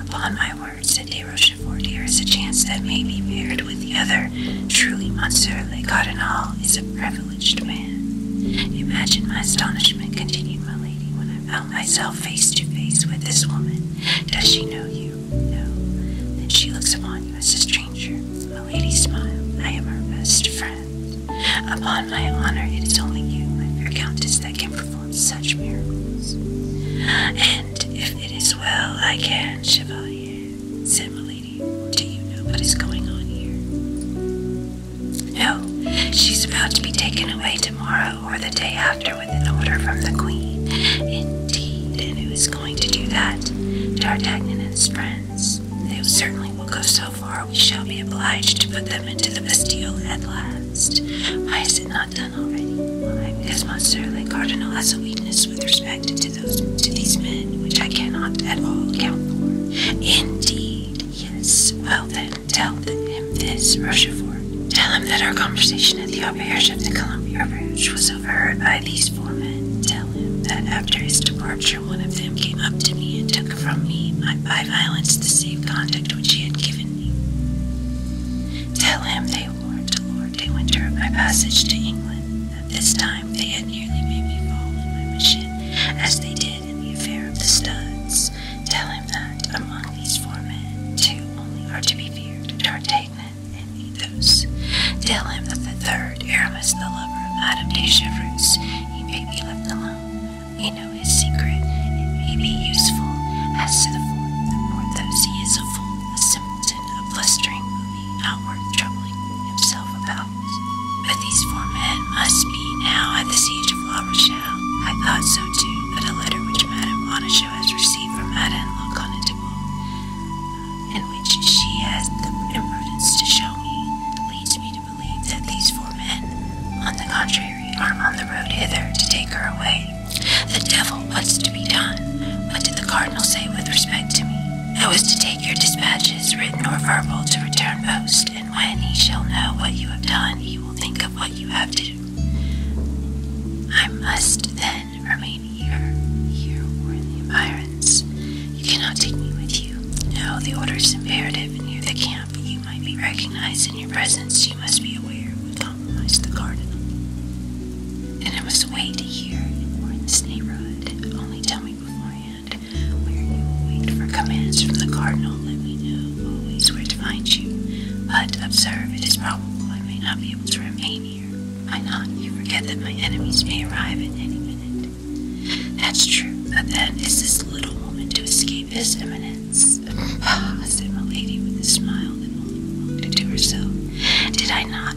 Upon my word, said De Rochefort, there is a chance that may be paired with the other. Truly, Monsieur le Cardinal is a privilege privileged man. Imagine my astonishment, continued my lady, when I found myself face to face with this woman. Does she know you? No. Then she looks upon you as a stranger. My lady smiled. I am her best friend. Upon my honor, it is only you, my fair countess, that can perform such miracles. And if it is well, I can, Chevalier, said Milady. Do you know what is going on here? No, she's about to be taken away tomorrow or the day after with an order from the Queen. Indeed, and who is going to do that? D'Artagnan and his friends. They certainly will go so far we shall be obliged to put them into the Bastille at last. Why is it not done already? Why, because Monsieur le Cardinal has a weakness with respect to those to these men, which I cannot at all account for. Indeed yes. Well then, tell him this, Rochefort. Tell him that our conversation at the auberge of the Columbia Rouge was overheard by these four men. Tell him that after his departure, one of them came up to me and took from me by violence the safe conduct which he had given me. Tell him they warned Lord de Winter of my passage to England. that this time, they had nearly made me fall in my machine, as they did in the affair of the studs. Tell him that among these four men, two only are to be feared, D'Artagnan and Athos. Tell him that the third, Aramis, the lover of Madame de Chevreuse, he may be left alone. We know his secret. It may be useful. As to the fourth, the Porthos, he is a fool, a simpleton, a blustering, movie, troubling himself about. But these four men must be now at the siege of La Rochelle. I thought so too, but a letter which Madame Bonacieux has received from Madame La Connetable, and which she has the imprudence to show me, leads me to believe that these four men, on the contrary, are on the road hither to take her away. The devil, what's to be done? What did the cardinal say with respect to me? I was to take your dispatches, written or verbal, to return post and when he shall know what you have done, he will think of what you have done. I must then remain here, here or in the environs. You cannot take me with you. No, the order is imperative near the camp. You might be recognized in your presence. You must be aware it would compromise the garden. And I must wait here or in this neighborhood. Only tell me beforehand where you wait for commands from the cardinal, let me know always where to find you. But observe, it is probable I may not be able to remain here. Why not? You forget that my enemies may arrive at any minute. That's true. But then is this little woman to escape his eminence? Ah, said Milady with a smile that only belonged to herself. Did I not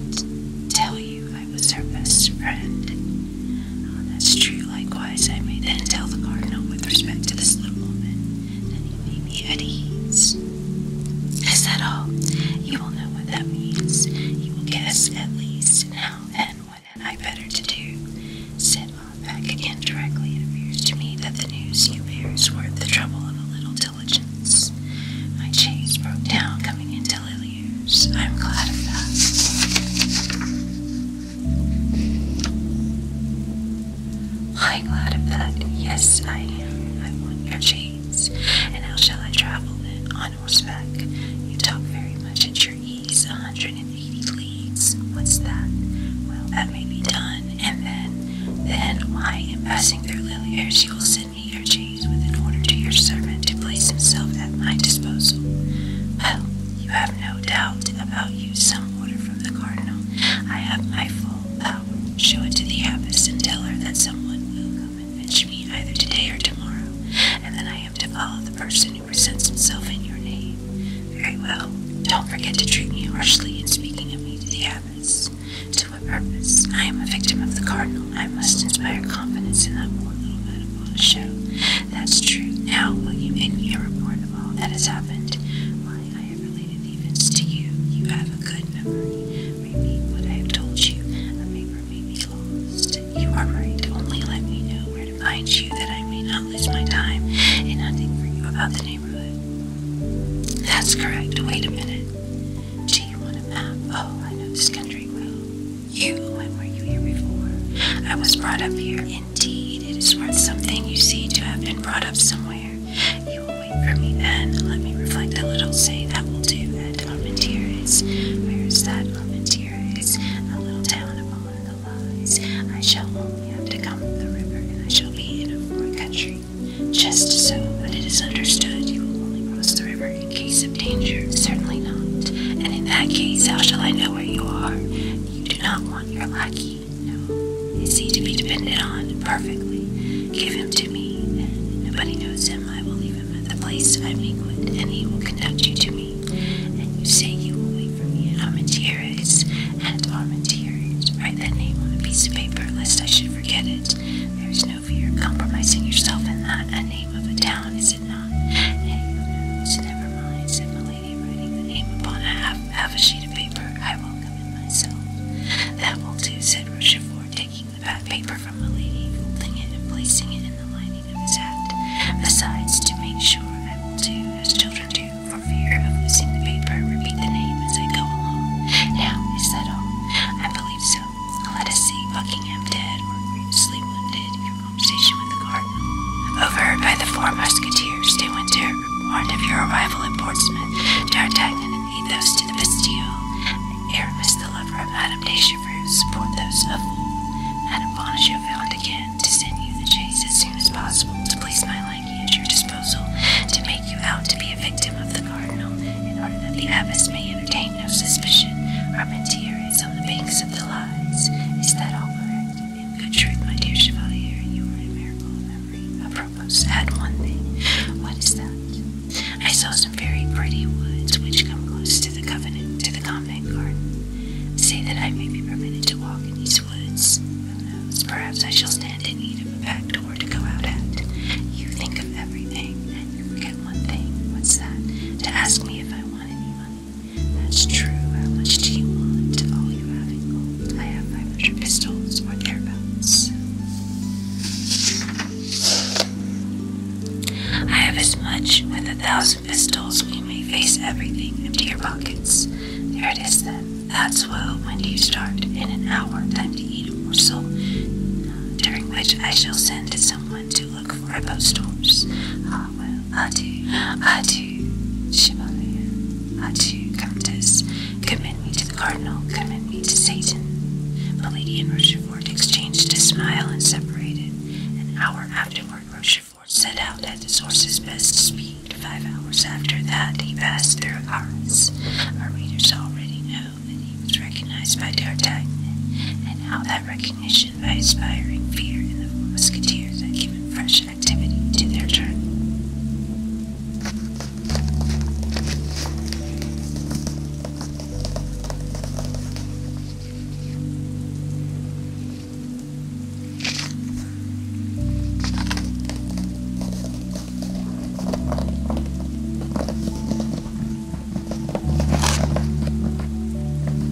tell you I was her best friend? Oh, that's true, likewise, I may then tell the cardinal with respect to this little woman that he may be at ease. Is that all? You will know what that means. You will guess, at least, now and what I better to do? Sit on back again directly. It appears to me that the news you bear is worth the trouble of a little diligence. My chaise broke down coming into Liliers. I'm glad of that. I am glad of that. Yes, I am. I want your chains. And how shall I travel then? On horseback. You talk very much at your ease. 180 leagues. What's that? Well, that may be done. And then, then, I am passing through Lillier. She will send me your chains with an order to your servant to place himself at my disposal. Well, you have no doubt about you. Some order from the cardinal. I have my full power. Show it to the abbess and tell her that someone will come and fetch me either today or tomorrow, and then I am to follow the person who presents himself in your name. Very well. Don't forget to treat me harshly in speaking of me to the abbess. To what purpose? I am a victim of the cardinal. I must inspire confidence in that poor little Madame Show. That's true. Now, William, in your report of all that has happened, why I have related events to you. You have a good memory. Repeat what I have told you. A paper may be lost. You are right. Only let me know where to find you that I may not lose my time in hunting for you about the neighborhood. That's correct. Wait a minute. Do you want a map? Oh, I know this country well you. When were you here before? I was brought up here. Indeed, it is worth something, you see, to have been brought up somewhere. You will wait for me then. Let me reflect a little. Say that will do. At Armentieres. Where is that Armentieres? A little town upon the lies. I shall only have to come up the river, and I shall be in a foreign country. Just so, but it is understood you will only cross the river in case of danger. Certainly. Certainly not. And in that case, how shall I know where you are? You do not want your lackey. No. Is he to be depended on? Perfectly. Give him to me. And nobody knows him. I will leave him at the place I banquet, and he will conduct you to me. And you say you will wait for me at Armentieres. At Armentieres. Write that name on a piece of paper, lest I should forget it. There is no fear of compromising yourself in that. A name of a town is it not? never mind, said Milady, writing the name upon a half, half a sheet of paper. I will come myself. That will do, said Rochefort, taking the bad paper from Milady, folding it and placing it in the lining of his hat. Besides, to make sure, I will do as children do, for fear of losing the paper, repeat the name as I go along. Now, is that all? I believe so. Let us see Buckingham dead or grievously wounded station with the guard. Overheard by the four musketeers, de Winter warned of your arrival at Portsmouth, D'Artagnan and Athos to the Bastille, and the lover of Madame de Chevreuse, support those of old. Madame Bonacieux found again to send you the chase as soon as possible, to place my liking at your disposal, to make you out to be a victim of the cardinal, in order that the abbess may entertain no suspicion. Armentier is on the banks of the lies. Is that all in good truth, my dear Chevalier, you are a miracle Apropos, add one thing. What is that? I saw some very pretty woods which come close to the covenant, to the convent garden. Say that I may be permitted to walk in these woods. Who knows? Perhaps I shall stand in need of a back door to go out at. You think of everything, and you forget one thing. What's that? To ask me if I want any money. That's true. How much do you want? All you have in gold. I have 500 pistols or thereabouts. I have as much. With a thousand pistols, we may face everything. Empty your pockets. There it is then. That's well. When you start? In an hour. Time to eat a morsel. During which I shall send someone to look for about I do. I do. adieu, I do. Countess. Commend me to the Cardinal, commend me to Satan. lady and Rochefort exchanged a smile and separated. An hour afterward, Rochefort set out at the horse's best speed. Five hours after that, he passed through Paris. Our readers already know that he was recognized by D'Artagnan, and how that recognition attention by inspiring fear in the musketeers and giving fresh activity to their turn.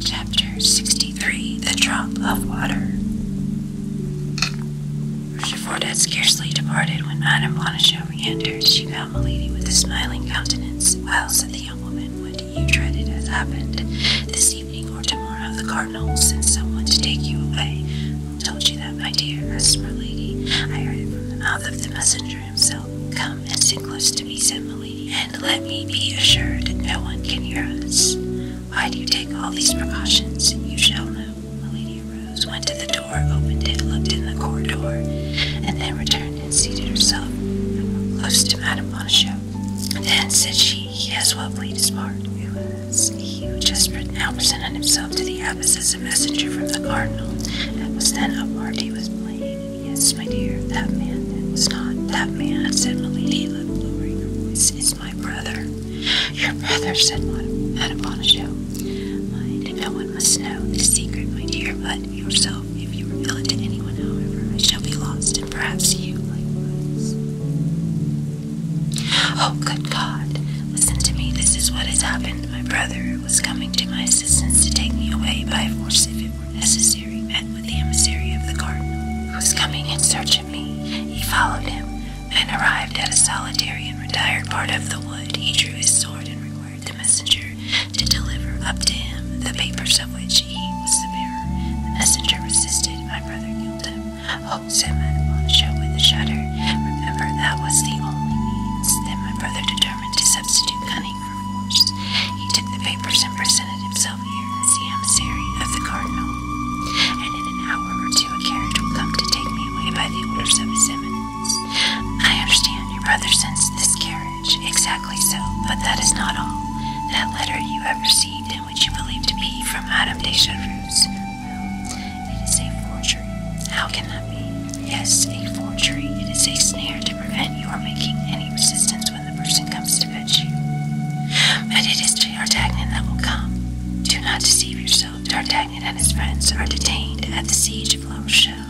Chapter 63 The Drop of Water. Rochefort had scarcely departed when Madame Bonacieux re entered. She found Milady with a smiling countenance. Well, said the young woman, what do you dreaded has happened this evening or tomorrow. The cardinal sent someone to take you away. Who told you that, my dear? asked Milady. I heard it from the mouth of the messenger himself. Come and sit close to me, said Milady and let me be assured that no one can hear us. Why do you take all these precautions? You shall know. Milady arose, went to the door, opened it, looked in the corridor, and then returned and seated herself close to Madame Bonacieux. Then said she, "He well played his part." Who was he just now presented himself to the abbess as a messenger from the cardinal, and was then up He was playing." Yes, my dear, that man. It was not that man, said Milady, lowering her voice. It's my brother. Your brother, said Madame Bonacieux. Mind, no one must know this secret, my dear, but yourself. If you reveal it to anyone, however, I shall be lost, and perhaps you likewise. Oh, good God! Listen to me. This is what has happened. My brother was coming to my assistance to take me away by force if it were were necessary, met with the emissary of the cardinal, who was coming in search of me. He followed him, and arrived at a solitary and retired part of the wood. He drew his sword and required the messenger to deliver up to him the papers of which he was the bearer. The messenger resisted. My brother killed him. Oh, said Madame show with a shudder. Remember, that was the only means. that my brother determined to substitute cunning for force. He took the papers and presented himself still here, Sam staring at the cardinal. And in an hour or two, a carriage will come to take me away by the orders of his eminence. I understand your brother sends this carriage. Exactly so, but that is not all. That letter you have received, and which you believe to be from Madame de Chevreuse, it is a forgery. How can that be? Yes, a forgery. It is a snare to prevent your making any resistance when the person comes to fetch you. But it is to D'Artagnan that will come. Do not deceive yourself. D'Artagnan and his friends are detained at the siege of La Rochelle.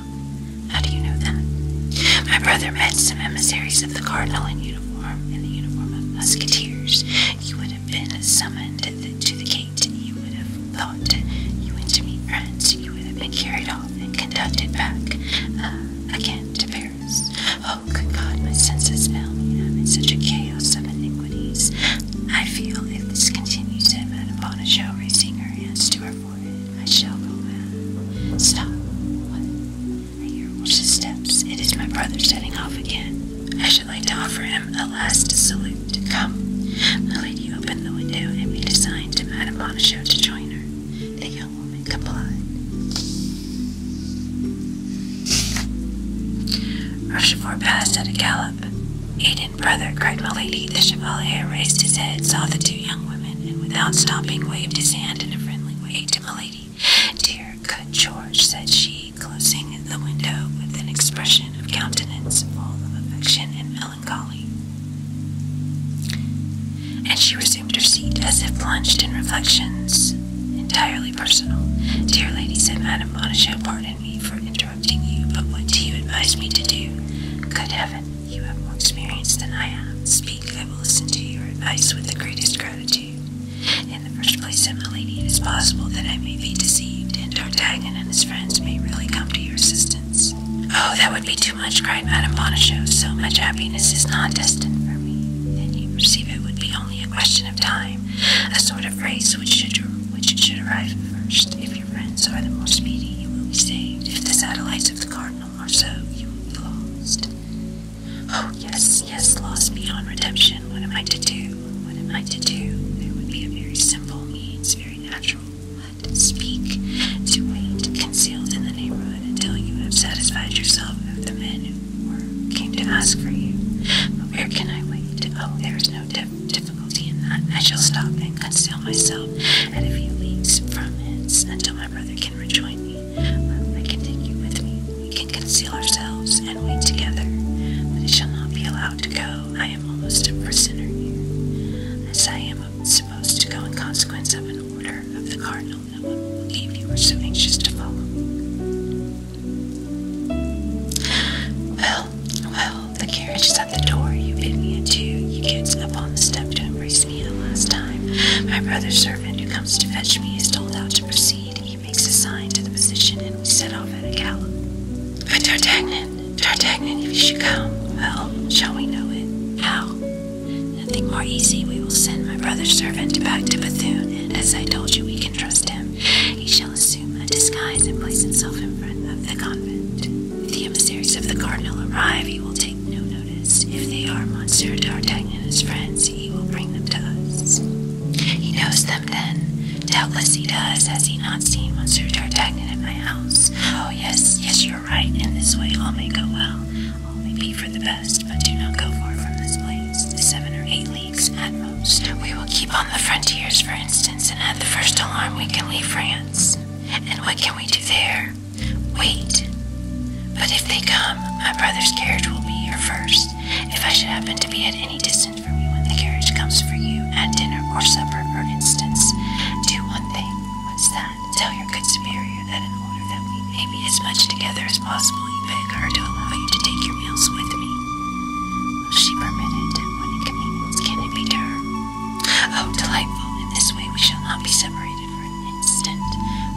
How do you know that? My brother met some emissaries of the cardinal in uniform, in the uniform of musketeers. You would have been summoned to the gate. You would have thought you went to meet friends. You would have been carried off and conducted back uh, again to Paris. Oh, good God, my senses fail me. I'm in such a chaos of iniquities. I feel if this continues, that Madame shall raising her hands to her forehead, I shall go mad. Stop. What? I hear horses' steps. It is my brother setting off again. I should like to offer him a last salute. Come. The lady opened the window and made a sign to Madame Bonichot to join her. The real Come on. Rochefort passed at a gallop. Aiden, brother, cried Milady. The chevalier raised his head, saw the two young women, and without stopping waved his hand in a friendly way to Milady. Dear, good George, said she, closing the window with an expression of countenance full of affection and melancholy and she resumed her seat as if plunged in reflections entirely personal. Dear lady, said Madame Bonacieux, pardon me for interrupting you, but what do you advise me to do? Good heaven, you have more experience than I have. Speak, I will listen to your advice with the greatest gratitude. In the first place, said Milady, it is possible that I may be deceived, and D'Artagnan and his friends may really come to your assistance. Oh, that would be too much, cried Madame Bonacieux. So much happiness is not destined for me. Then you perceive it would be only a question of time, a sort of race which should, which should arrive first. If your friends are the most speedy, you will be saved. If the satellites of the cardinal are so, you will be lost. Oh, yes, yes, lost beyond redemption. What am I to do? What am I to do? There would be a very simple means, very natural. But speak, to wait, concealed in the neighborhood until you have satisfied yourself of the men or came to ask for you. But where can I wait? Oh, there is no difficulty in that. I shall stop and conceal myself at a few leagues from hence until my brother can rejoin me. I can take you with me. We can conceal ourselves and wait together. But I shall not be allowed to go. I am almost a prisoner here, as I am supposed to go in consequence of an order of the cardinal you were so anxious to follow. Well, well, the carriage is at the door. You bid me adieu. You get up on the step to embrace me the last time. My brother's servant, who comes to fetch me, is told out to proceed. He makes a sign to the physician, and we set off at a gallop. But D'Artagnan, D'Artagnan, if you should come, well, shall we know it? How? Nothing more easy. We will send my brother's servant back to Bethune, and as I told you, we can trust him. He shall assume a disguise and place himself in front of the convent. If the emissaries of the cardinal arrive, he will take no notice. If they are Monsieur d'Artagnan and his friends, he will bring them to us. He knows them then. Doubtless he does. Has he not seen Monsieur d'Artagnan at my house? Oh, yes, yes, you're right. In this way all may go well only be for the best, but do not go far from this place, seven or eight leagues at most. We will keep on the frontiers, for instance, and at the first alarm we can leave France. And what can we do there? Wait. But if they come, my brother's carriage will be here first. If I should happen to be at any distance from you when the carriage comes for you, at dinner or supper, for instance, do one thing. What's that? Tell your good superior warrior that in order that we may be as much together as possible, you beg her to allow you to take your meals with me. Will she permit it? When inconvenience can it be to her? Oh, delightful. In this way we shall not be separated for an instant.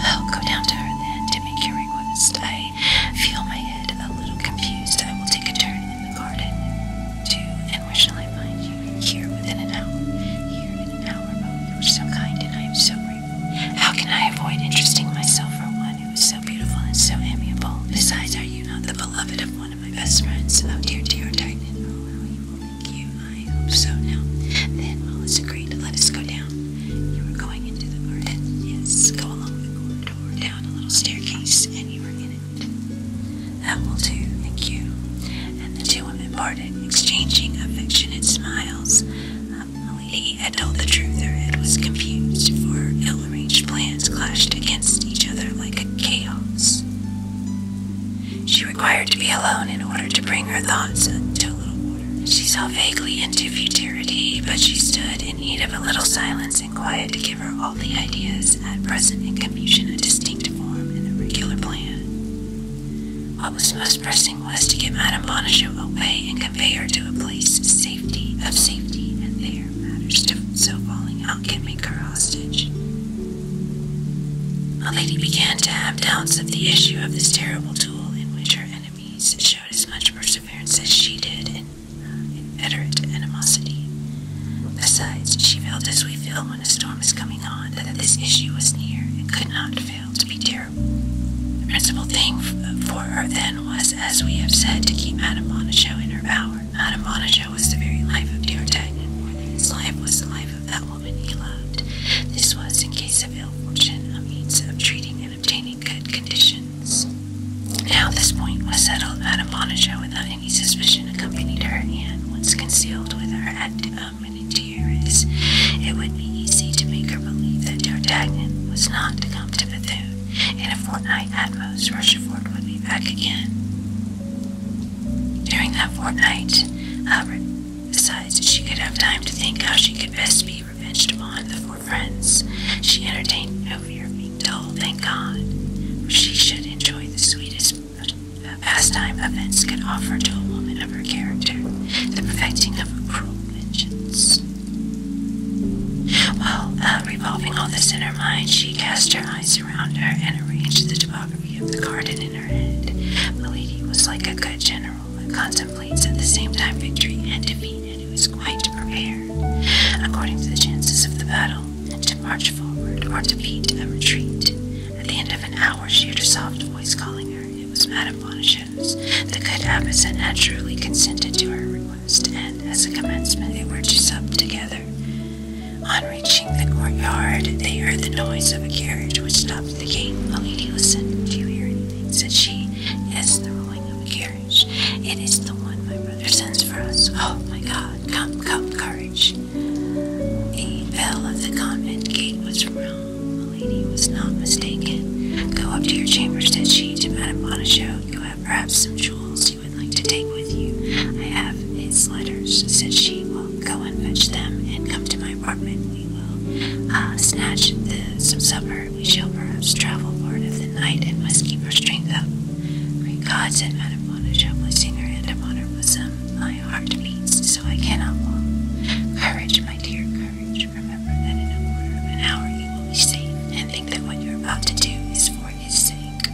I'll go down to her then to make your request. I feel my head a little confused. I will take a turn in the garden, too. And where shall I find you? Here within an hour. Here in an hour. Oh, you're so kind, and I am so how can I avoid interesting myself for one who is so beautiful and so amiable? Besides, are you not the beloved of one of my best friends? Oh, dear, dear Titan, oh, how you will make you. I hope so now. Then all is agreed. Let us go down. You are going into the garden. Yes, go along the corridor, down a little staircase, and you are in it. That will do, thank you. And the two women parted, exchanging affectionate smiles. Lady had told the truth, her head was confused, for ill-arranged plans clashed against each other like a chaos. She required to be alone in order to bring her thoughts to a little order. She saw vaguely into futurity, but she stood in need of a little silence and quiet to give her all the ideas at present in confusion a distinct form and a regular plan. What was most pressing? was to get Madame Bonacieux away and convey her to a place safety of safety, and there matters different, so falling out can make her hostage. My lady began to have doubts of the issue of this terrible duel in which her enemies showed as much perseverance as she did in inveterate animosity. Besides, she felt as we feel when a storm is coming on, that this issue was near and could not fail to be terrible. The principal thing for her then was, as we have said, to keep Madame Bonacieux in her power. Madame Bonacieux was the very life of D'Artagnan, more than his life was the life of that woman he loved. This was, in case of ill fortune, a means of treating and obtaining good conditions. Now this point was settled. Madame Bonacieux, without any suspicion, accompanied her, and once concealed with her at a um, it would be easy to make her believe that D'Artagnan was not to come to Bethune. In a fortnight at most, Rochefort would be back again. During that fortnight, Albert decides that she could have time to think how she could best be revenged upon the four friends. She entertained no fear of being dull, thank God, for she should enjoy the sweetest pastime events could offer to a woman of her character, the perfecting of a cruel vengeance. While uh, revolving all this in her mind, she cast her eyes around her and arranged the topography of the garden in her head. The lady was like a good general who contemplates at the same time victory and defeat and who is quite prepared, according to the chances of the battle, to march forward or to beat a retreat. At the end of an hour, she heard a soft voice calling her. It was Madame Bonacieux. The good Abbotson naturally consented to her request, and as a commencement, they were to sup together. On reaching the courtyard, they heard the noise of a carriage which stopped at the gate. The lady Do you hear anything? said she. "It is the rolling of a carriage. It is the one my brother sends for us. Oh my God! Come, come, courage! The bell of the convent gate was rung. The lady was not mistaken. Go up to your chamber, said she to Madame Bonacieux. You have perhaps some jewels you would like to take with you. I have his letters, said she. Will go and fetch them, and come to my apartment. We will uh, snatch some supper. We shall perhaps travel part of the night, and must keep our strength up. Great God, said Madame Bonacieux, placing her hand upon her bosom. My heart beats, so I cannot walk. Courage, my dear, courage remember that in a quarter of an hour you will be safe, and think that what you're about to do is for his sake.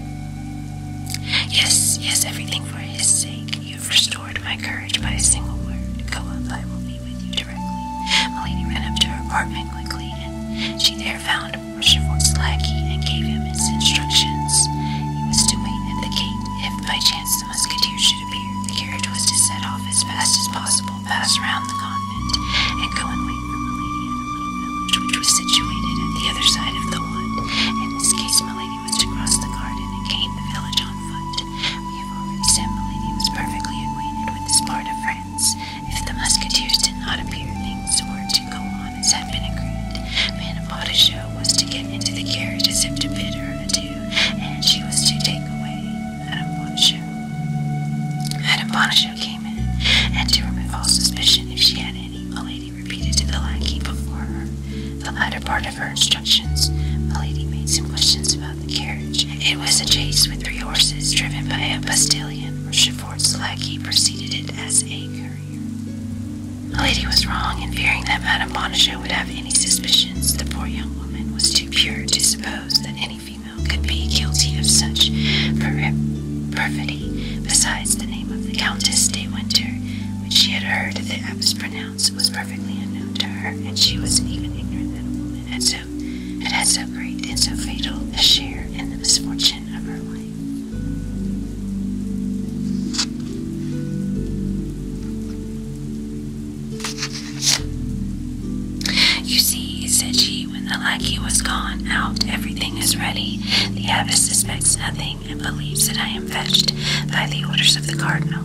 Yes, yes, everything for his sake. You have restored my courage by a single word. Go up, I will be with you directly. Milady ran up to her apartment quickly, and she there found Rochefort's lackey and gave him his instructions. He was to wait at the gate if by chance the musketeers should appear. The carriage was to set off as fast as possible. Pass passed round the convent and go and wait for Milady at a little village which was situated at the other side of the wood. In this case, Milady was to cross the garden and gain the village on foot. We have already said Milady was perfectly acquainted with this part of France. If the musketeers did not appear, things were to go on as had been agreed. Manifardacheux was to get into the carriage as if to bid her adieu, and she was to take away Madame Bonacieux. came in, and to remove all suspicion if she had any, Milady repeated to the lackey before her the latter part of her instructions. Milady made some questions about the carriage. It was a chaise with three horses, driven by a postilion, or Chefort's lackey preceded it as a courier. Milady was wrong in fearing that Madame Bonacieux would have any suspicions. The poor young woman was too pure to suppose that any female could be guilty of such perfidy. Besides, the name of the Countess de Winter, which she had heard that it was pronounced, was perfectly unknown to her, and she was even ignorant that a woman had so had so great and so fatal a share in the misfortune of her life. You see, said she, when the lackey was gone out, everything is ready. The abbess suspects nothing and believes that I am fetched by the orders of the cardinal.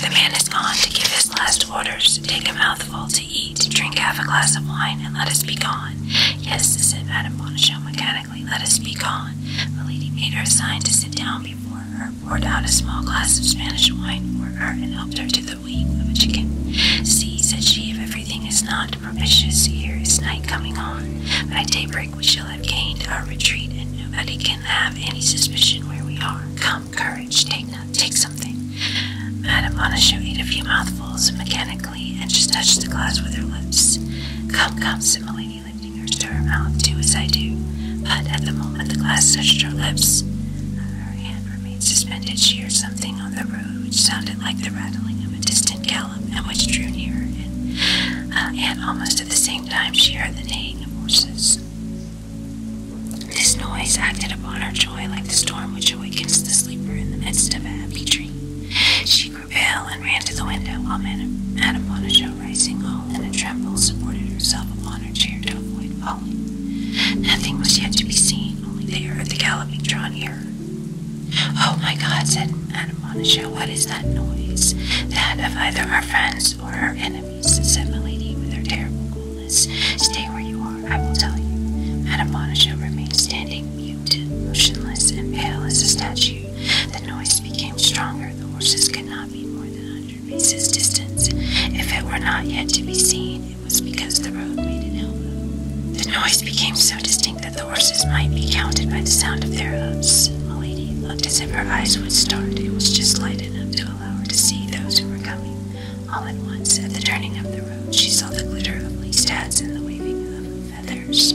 The man is gone to give his last orders. Take a mouthful to eat, drink half a glass of wine, and let us be gone. Yes, said Madame Bonacieux mechanically, let us be gone. The lady made her sign to sit down before Werner poured out a small glass of Spanish wine for her and helped her to the wing of a chicken. See, said she, if everything is not propitious, here is night coming on. By daybreak we shall have gained our retreat, and nobody can have any suspicion where we are. Come, courage, take not, take something. Madame Bonacieux ate a few mouthfuls mechanically, and just touched the glass with her lips. Come, come, let Milady, to her mouth, do as I do, but at the moment the glass touched her lips, her hand remained suspended. She heard something on the road which sounded like the rattling of a distant gallop, and which drew nearer, uh, and, almost at the same time she heard the neighing of horses. This noise acted upon her joy like the storm which awakens the sleeper in the midst of a happy dream. She grew pale and ran to the window, while Madame Madame Bonacieux, rising all in a tremble, supported herself upon to avoid falling. Nothing was yet to be seen, only they heard the galloping draw nearer. Oh my God, said Madame Bonacieux, what is that noise? That of either our friends or our enemies, said Milady with her terrible coolness. Stay where you are, I will tell you. Madame Bonacieux remained standing, mute, motionless, and pale as a statue. The noise became stronger. The horses could not be more than paces distance. If it were not yet to be seen, it was because the road made an elbow. The noise became so distinct that the horses might be counted by the sound of their hoofs. The lady looked as if her eyes would start. It was just light enough to allow her to see those who were coming. All at once, at the turning of the road, she saw the glitter of least hats and the waving of feathers.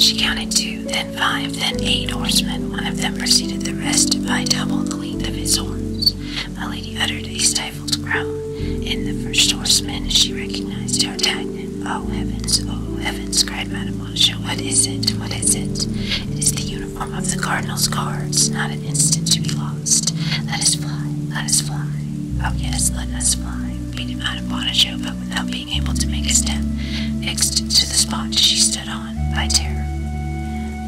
She counted two, five, then eight horsemen. One of them preceded the rest by double the length of his horns. My lady uttered a stifled groan. In the first horseman she recognized D'Artagnan. Oh heavens, oh heavens, cried Madame Blanchot. What is it? What is it? It is the uniform of the cardinal's guards. Not an instant to be lost. Let us fly, let us fly. Oh yes, let us fly, pleaded Madame Blanchot, but without being able to make a step. Next to the spot she stood on I by terror.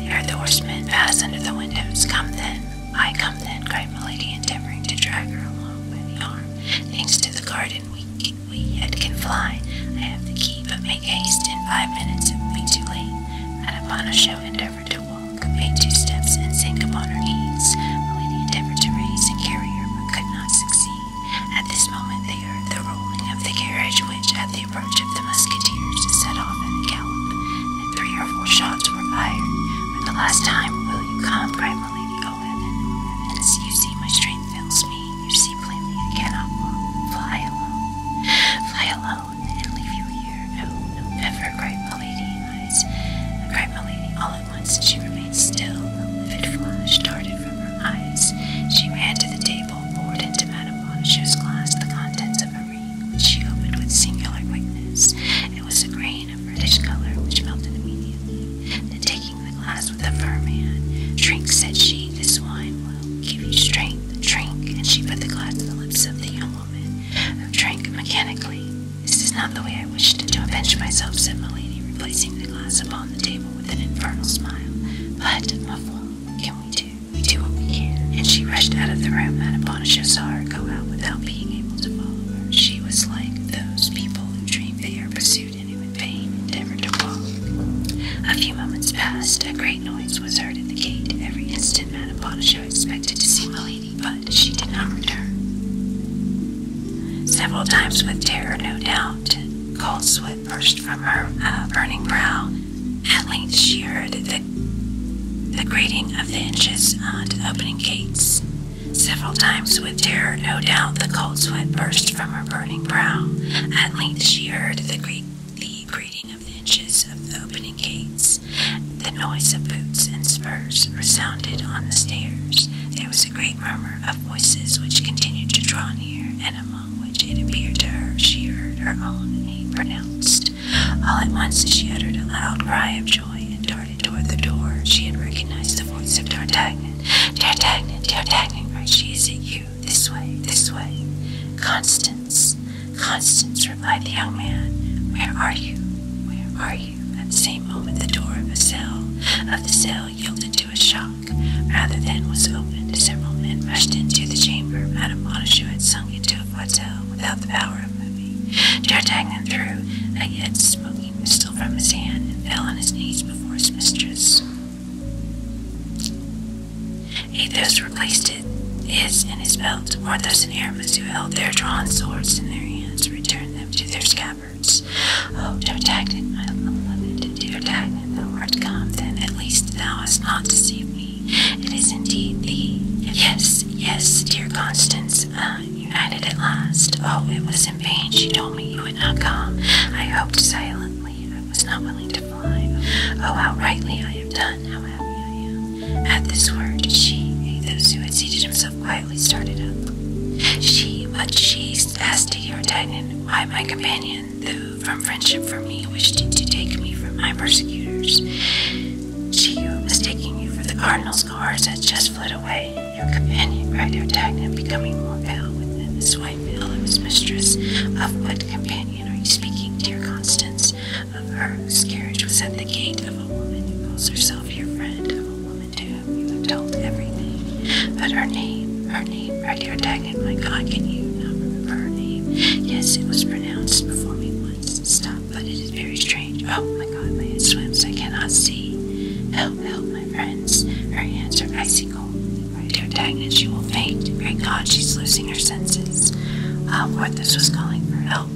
heard the horsemen pass under the windows. Come then, I come then, cried Milady, endeavoring to drag her along by the arm. Thanks to the garden, we, we yet can fly. I have the key, but make haste. In five minutes it will be too late. And upon Madame Bonacieux endeavored to walk, made two steps, and sank upon her knees. Milady endeavored to raise and carry her, but could not succeed. At this moment they heard the rolling of the carriage, which, at the approach of the musketeers, set off at a gallop, and three or four shots were fired. For the last time, will you come? cried Milady. Oh, heaven, as you see, my strength fails me. You see plainly I cannot walk. Fly alone, fly alone, and leave you here. Oh, no, never, cried Milady. Eyes, cried Milady all at once. She remained still. A livid flash darted from her eyes. She ran to the table table, poured into Madame Bonacieux's glass the contents of a ring, which she opened with singular quickness. It was a grain of reddish color, which melted immediately. Then, taking the glass with a firm hand, "Drink," said she. "This wine will give you strength. Drink." And she put the glass to the lips of the young woman, who oh, drank mechanically. "This is not the way I wished to avenge myself," said Milady, replacing the glass upon the table with an infernal smile. "But, ma foi." can we do? We do what we can. And she rushed out of the room. Manaponisha saw her go out without being able to follow her. She was like those people who dream they are pursued and in vain endeavor to walk. A few moments passed. A great noise was heard at the gate. Every instant Manaponisha expected to see Milady, but she did not return. Several times with terror, no doubt, cold sweat burst from her uh, burning brow at length she heard the, the grating of the hinges on the opening gates. Several times with terror, no doubt, the cold sweat burst from her burning brow. At length she heard the, the grating of the hinges of the opening gates. The noise of boots and spurs resounded on the stairs. There was a great murmur of voices which continued to draw near, and a which it appeared to her she heard her own name pronounced. All at once she uttered a loud cry of joy and darted toward the door. She had recognized the voice of D'Artagnan. D'Artagnan, D'Artagnan, cried she, is it you? This way, this way. Constance, Constance, replied the young man, where are you? Where are you? At the same moment the door of a cell of the cell yielded to a shock rather than was opened. Several men rushed into the chamber. Madame Bonacieux had sunk into a plateau without the power of moving. D'Artagnan threw a yet smoking pistol from his hand and fell on his knees before his mistress. Athos replaced it, his in his belt. Porthos and Aramis, who held their drawn swords in their hands, returned them to their scabbards. Oh, D'Artagnan, my beloved, D'Artagnan and thou art come, then at least thou hast not deceived me. It is indeed thee. Yes, yes, dear Constance, uh, united at last. Oh, it was in vain she told me you would not come. I hoped silently. I was not willing to fly. Oh, how rightly I have done. How happy I am. At this word, she, those who had seated themselves quietly, started up. She, but she asked D'Artagnan why my companion man, from friendship for me wished to take me from my persecutors. She who, mistaking you for the cardinal's guards, has just fled away. Your companion cried out Dagnan, becoming more pale with him, his wife ill of his mistress. Of what companion are you speaking, dear Constance? Of her whose carriage was at the gate, of a woman who calls herself your friend, of a woman to whom you have told everything. But her name, her name, cried your Tag my god, can you not remember her name? Yes, it was pronounced before me once. Stop, but it is very strange. Oh my god, my head I cannot see. Help, help, my friends. Her hands are icy cold. My protagonist, she will faint. Great god, she's losing her senses. Ah, Porthos was calling for help.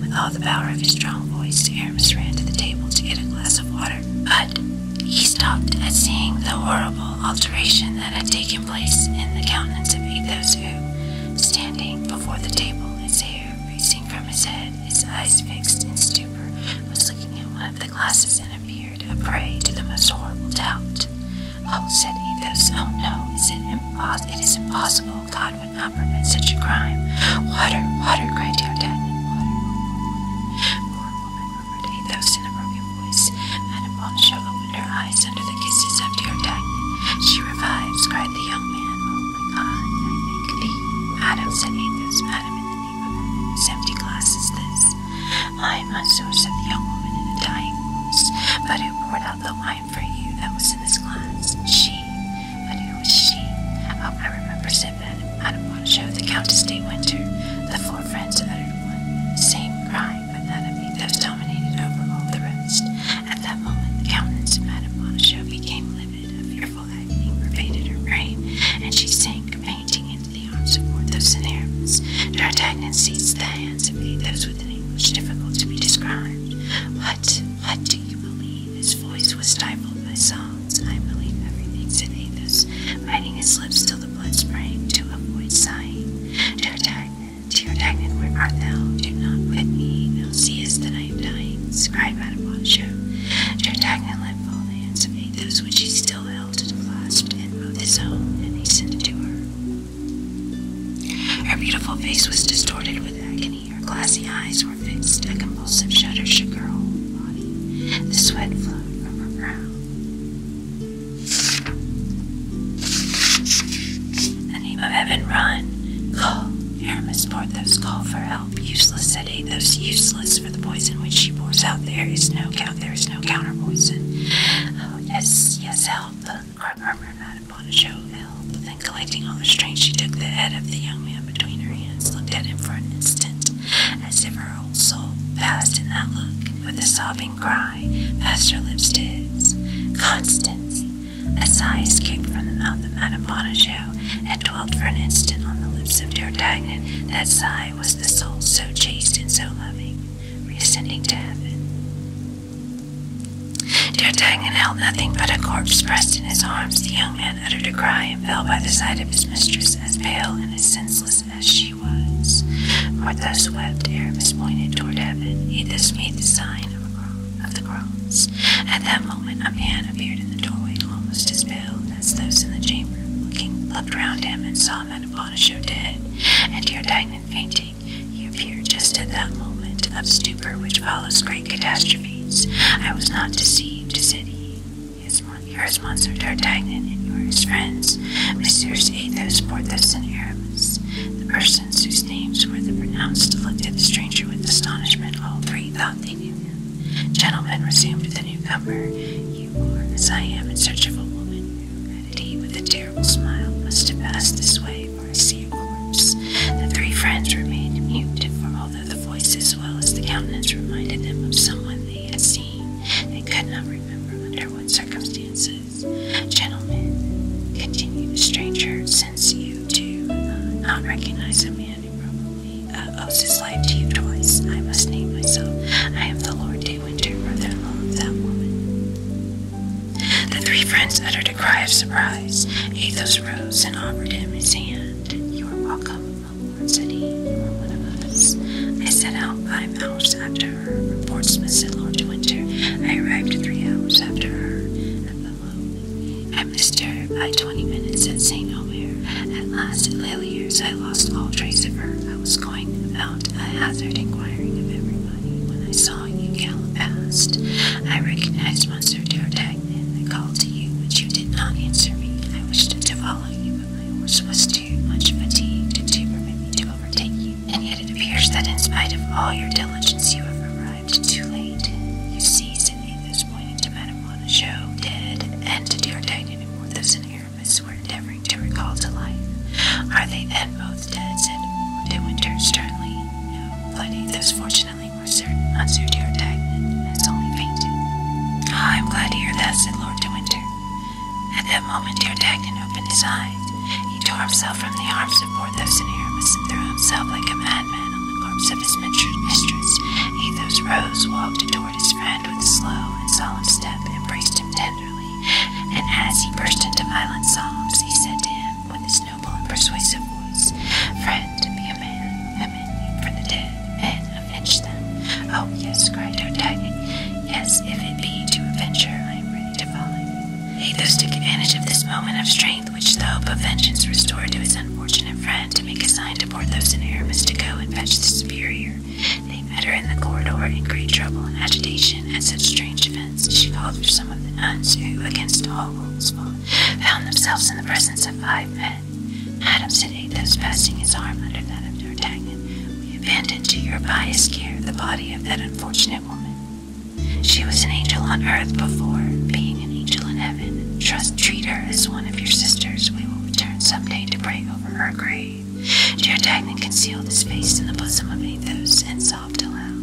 With all the power of his strong voice, Aramis ran to the table to get a glass of water. But he stopped at seeing the horrible alteration that had taken place in the countenance of Athos, who, standing before the table, his hair racing from his head, his eyes fixed in stupor, was looking at one of the glasses and appeared a prey to the most horrible doubt. Oh, said Athos, oh no, Said it, it is impossible. God would not permit such a crime. Water, water, cried D'Artagnan. Water, murmured Athos in a broken voice, and upon Charlotte opened her eyes under the kisses of D'Artagnan. She revives, cried the young man. Oh my God, I thank thee, madam, said Athos. Madam, in the name of heaven, whose empty glass is this? I, monsieur, said the young woman in a dying voice, but who poured out the wine for you that was in this glass? She, but who was she? Oh, I remember, said Madame, Madame Poncho, the Countess de Winter. The four friends uttered one the same cry life anatomy that dominated over all the rest. At that moment, the countenance of Madame Bonacieux became livid, a fearful agony pervaded her brain, and she sank fainting into the arms of Porthos and Aramis. D'Artagnan seized the hands of Athos with an anguish difficult to be described. What, what do you believe? His voice was stifled by sobs. I believe everything, said Athos, biting his lips till till the blood sprang, to avoid sighing. Dear Dagnan, dear Dagnan, where art thou? Do not with me, thou seest that I am dying, cried Madame Monsieur. Dear Dagnan let fall the hands of Athos, which he still held and clasped in both his own, and he sent it to her. Her beautiful face was distorted with agony, her glassy eyes were fixed, a convulsive shudder shook her whole body, the sweat flowed from her brow. In the name of heaven, run. Call. Aramis Porthos, call for help. Useless, said those Useless, for the poison which she pours out there is no count. There is no counter Oh, yes, yes, help. The murmured Madame Bonacieux, help. Then, collecting all her strength, she took the head of the young man between her hands, looked at him for an instant, as if her whole soul passed in that look. With a sobbing cry, as her lips did. Constance! A sigh escaped from the mouth of Madame Bonacieux and dwelt for an instant on the lips of D'Artagnan. That sigh was the soul so chaste and so loving, ascending to heaven. D'Artagnan held nothing but a corpse pressed in his arms. The young man uttered a cry and fell by the side of his mistress, as pale and as senseless as she she was. For the swept Aramis pointed toward heaven. He thus made the sign of, the cross. At that moment, a man appeared in the doorway, almost as pale as those in the chamber. Looking, looked round him and saw Manabonachou dead, and D'Artagnan fainting. He appeared just at that moment of stupor which follows great catastrophes. I was not deceived, said he. Yes, yours, Monsieur D'Artagnan, and yours, friends, Messieurs Athos, Porthos, and Aramis. The persons whose names were the pronounced looked at the stranger with astonishment. All three thought they knew Gentlemen, resumed the newcomer, you are, as I am, in search of a woman added he with a terrible smile, must have passed this way, or I see a corpse. The three friends remained mute, for although the voice as well as the countenance reminded them of someone they had seen, they could not remember under what circumstances. Gentlemen, continue. the stranger, since you do uh, not recognize a man who probably uh, owes his life to you twice, I must name myself. I am the Lord Daywinter, brother in law of that woman. The three friends uttered a cry of surprise. Athos rose and offered him his hand. You are welcome, my lord, said he. You are one of us. I set out five hours after Portsmouth said Lord Winter. I arrived three hours after her at Boulogne. I missed her by twenty minutes at St. Omer. At last, at Lelieres, I lost all trace of her. I was going about a hazard inquiring of everybody when I saw you gallop past. I recognized Monsieur D'Artagnan. I called to you, but you did not answer me. I wished to follow you, but my horse was too too much fatigue to permit me to overtake you, and yet it appears that in spite of all your diligence you have arrived too late. You see, seized Athos pointed to Madame Monachot, dead, and to D'Artagnan and Porthos and Aramis were endeavoring to recall to life. Are they then both dead? said Lord De Winter sternly. No, but Athos fortunately were certain, answered D'Artagnan, has only fainted. Ah, I'm glad to hear that, said Lord de Winter. At that moment, D'Artagnan opened his eyes. He tore himself from the arms of Porthos and Aramis and threw himself like a madman on the corpse of his mistress. Athos rose, walked toward his friend with a slow and solemn step, embraced him tenderly, and as he burst into violent sobs, he said to him with his noble and persuasive voice, Friend, be a man, have need for the dead, and avenge them. Oh, yes, cried D'Artagnan. Yes, if it be to avenge her, I am ready if He thus took advantage of this moment of strength, which the hope of vengeance restored to his unfortunate friend, to make a sign to Porthos and Aramis to go and fetch the superior. They met her in the corridor in great trouble and agitation at such strange events. She called for some of the nuns, who, against all rules, found themselves in the presence of five men. Adam said Athos, passing his arm under that of D'Artagnan, you abandoned to your pious care the body of that unfortunate woman. She was an angel on earth before being an angel in heaven. Trust, treat her as one of your sisters. We will return some day to pray over her grave. Dear D'Artagnan conceal this face in the bosom of Athos and sobbed aloud.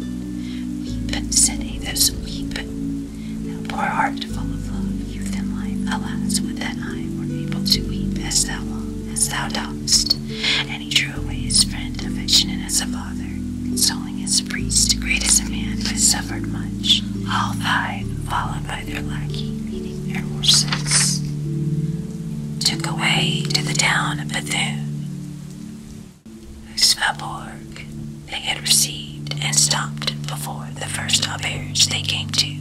Weep, said Athos, weep. Thou poor heart full of love, youth, and life, alas, would that I were able to weep as thou as thou dost. And he true away his friend, affectionate as a father, consoling as a priest, great as a man, but suffered much. All five, followed by their lackey, leading their horses, took away to the town of Bethune, whose faubourg they had received, and stopped before the first auberge they came to.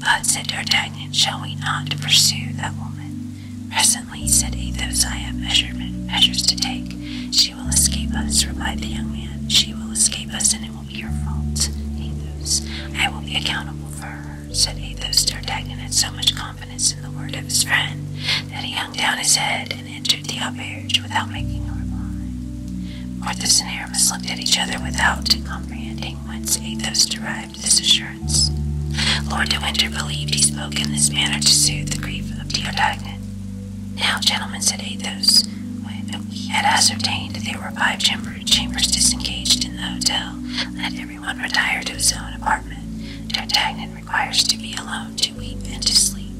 But, said D'Artagnan, shall we not pursue that woman? Presently, said Athos. "I have measures to take. She will escape us, replied the young man. She will escape us, and it will be your fault, Athos. I will be accountable for her, said Athos. D'Artagnan had so much confidence in the word of his friend that he hung down his head and entered the auberge without making a reply. Porthos and Aramis looked at each other without comprehending whence Athos derived this assurance. Lord de Winter believed he spoke in this manner to soothe the grief of Diotagnet. Now, gentlemen, said Athos, when we had ascertained that there were five chambers disengaged in the hotel, let everyone retire to his own apartment. D'Artagnan requires to be alone to weep and to sleep.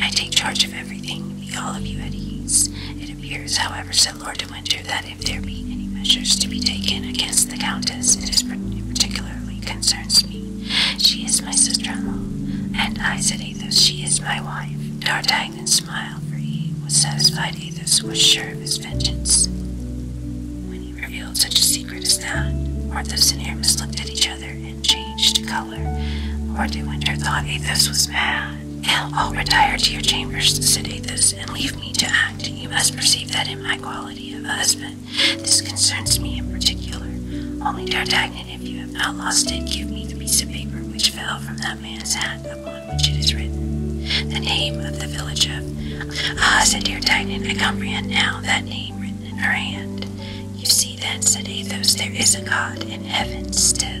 I take charge of everything, be all of you at ease. It appears, however, said Lord de Winter, that if there be any measures to be taken against the Countess, it is particularly." concerns me. She is my sister-in-law, and I, said Athos, she is my wife. D'Artagnan smiled, for he was satisfied Athos was sure of his vengeance. When he revealed such a secret as that, Porthos and Aramis looked at each other and changed color. Lord de Winter thought Athos was mad. Now all retire to your chambers, said Athos, and leave me to act. You must perceive that in my quality of a husband, this concerns me in particular. Only D'Artagnan, if you have not lost it, give me the piece of paper which fell from that man's hat upon which it is written. The name of the village of. Ah, said D'Artagnan, I comprehend now that name written in her hand. You see then, said Athos, there is a God in heaven still.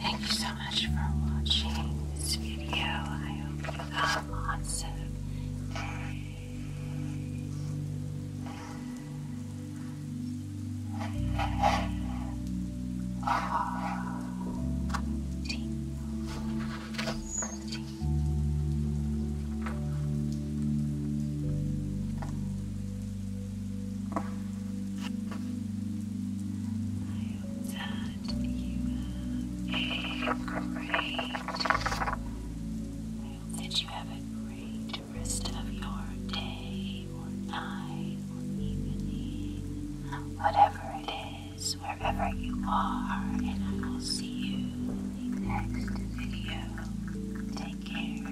Thank you so much for watching this video. I hope you got lots of I hope that you have a great rest of your day whatever it is, wherever you are, and I will see you in the next video. Take care.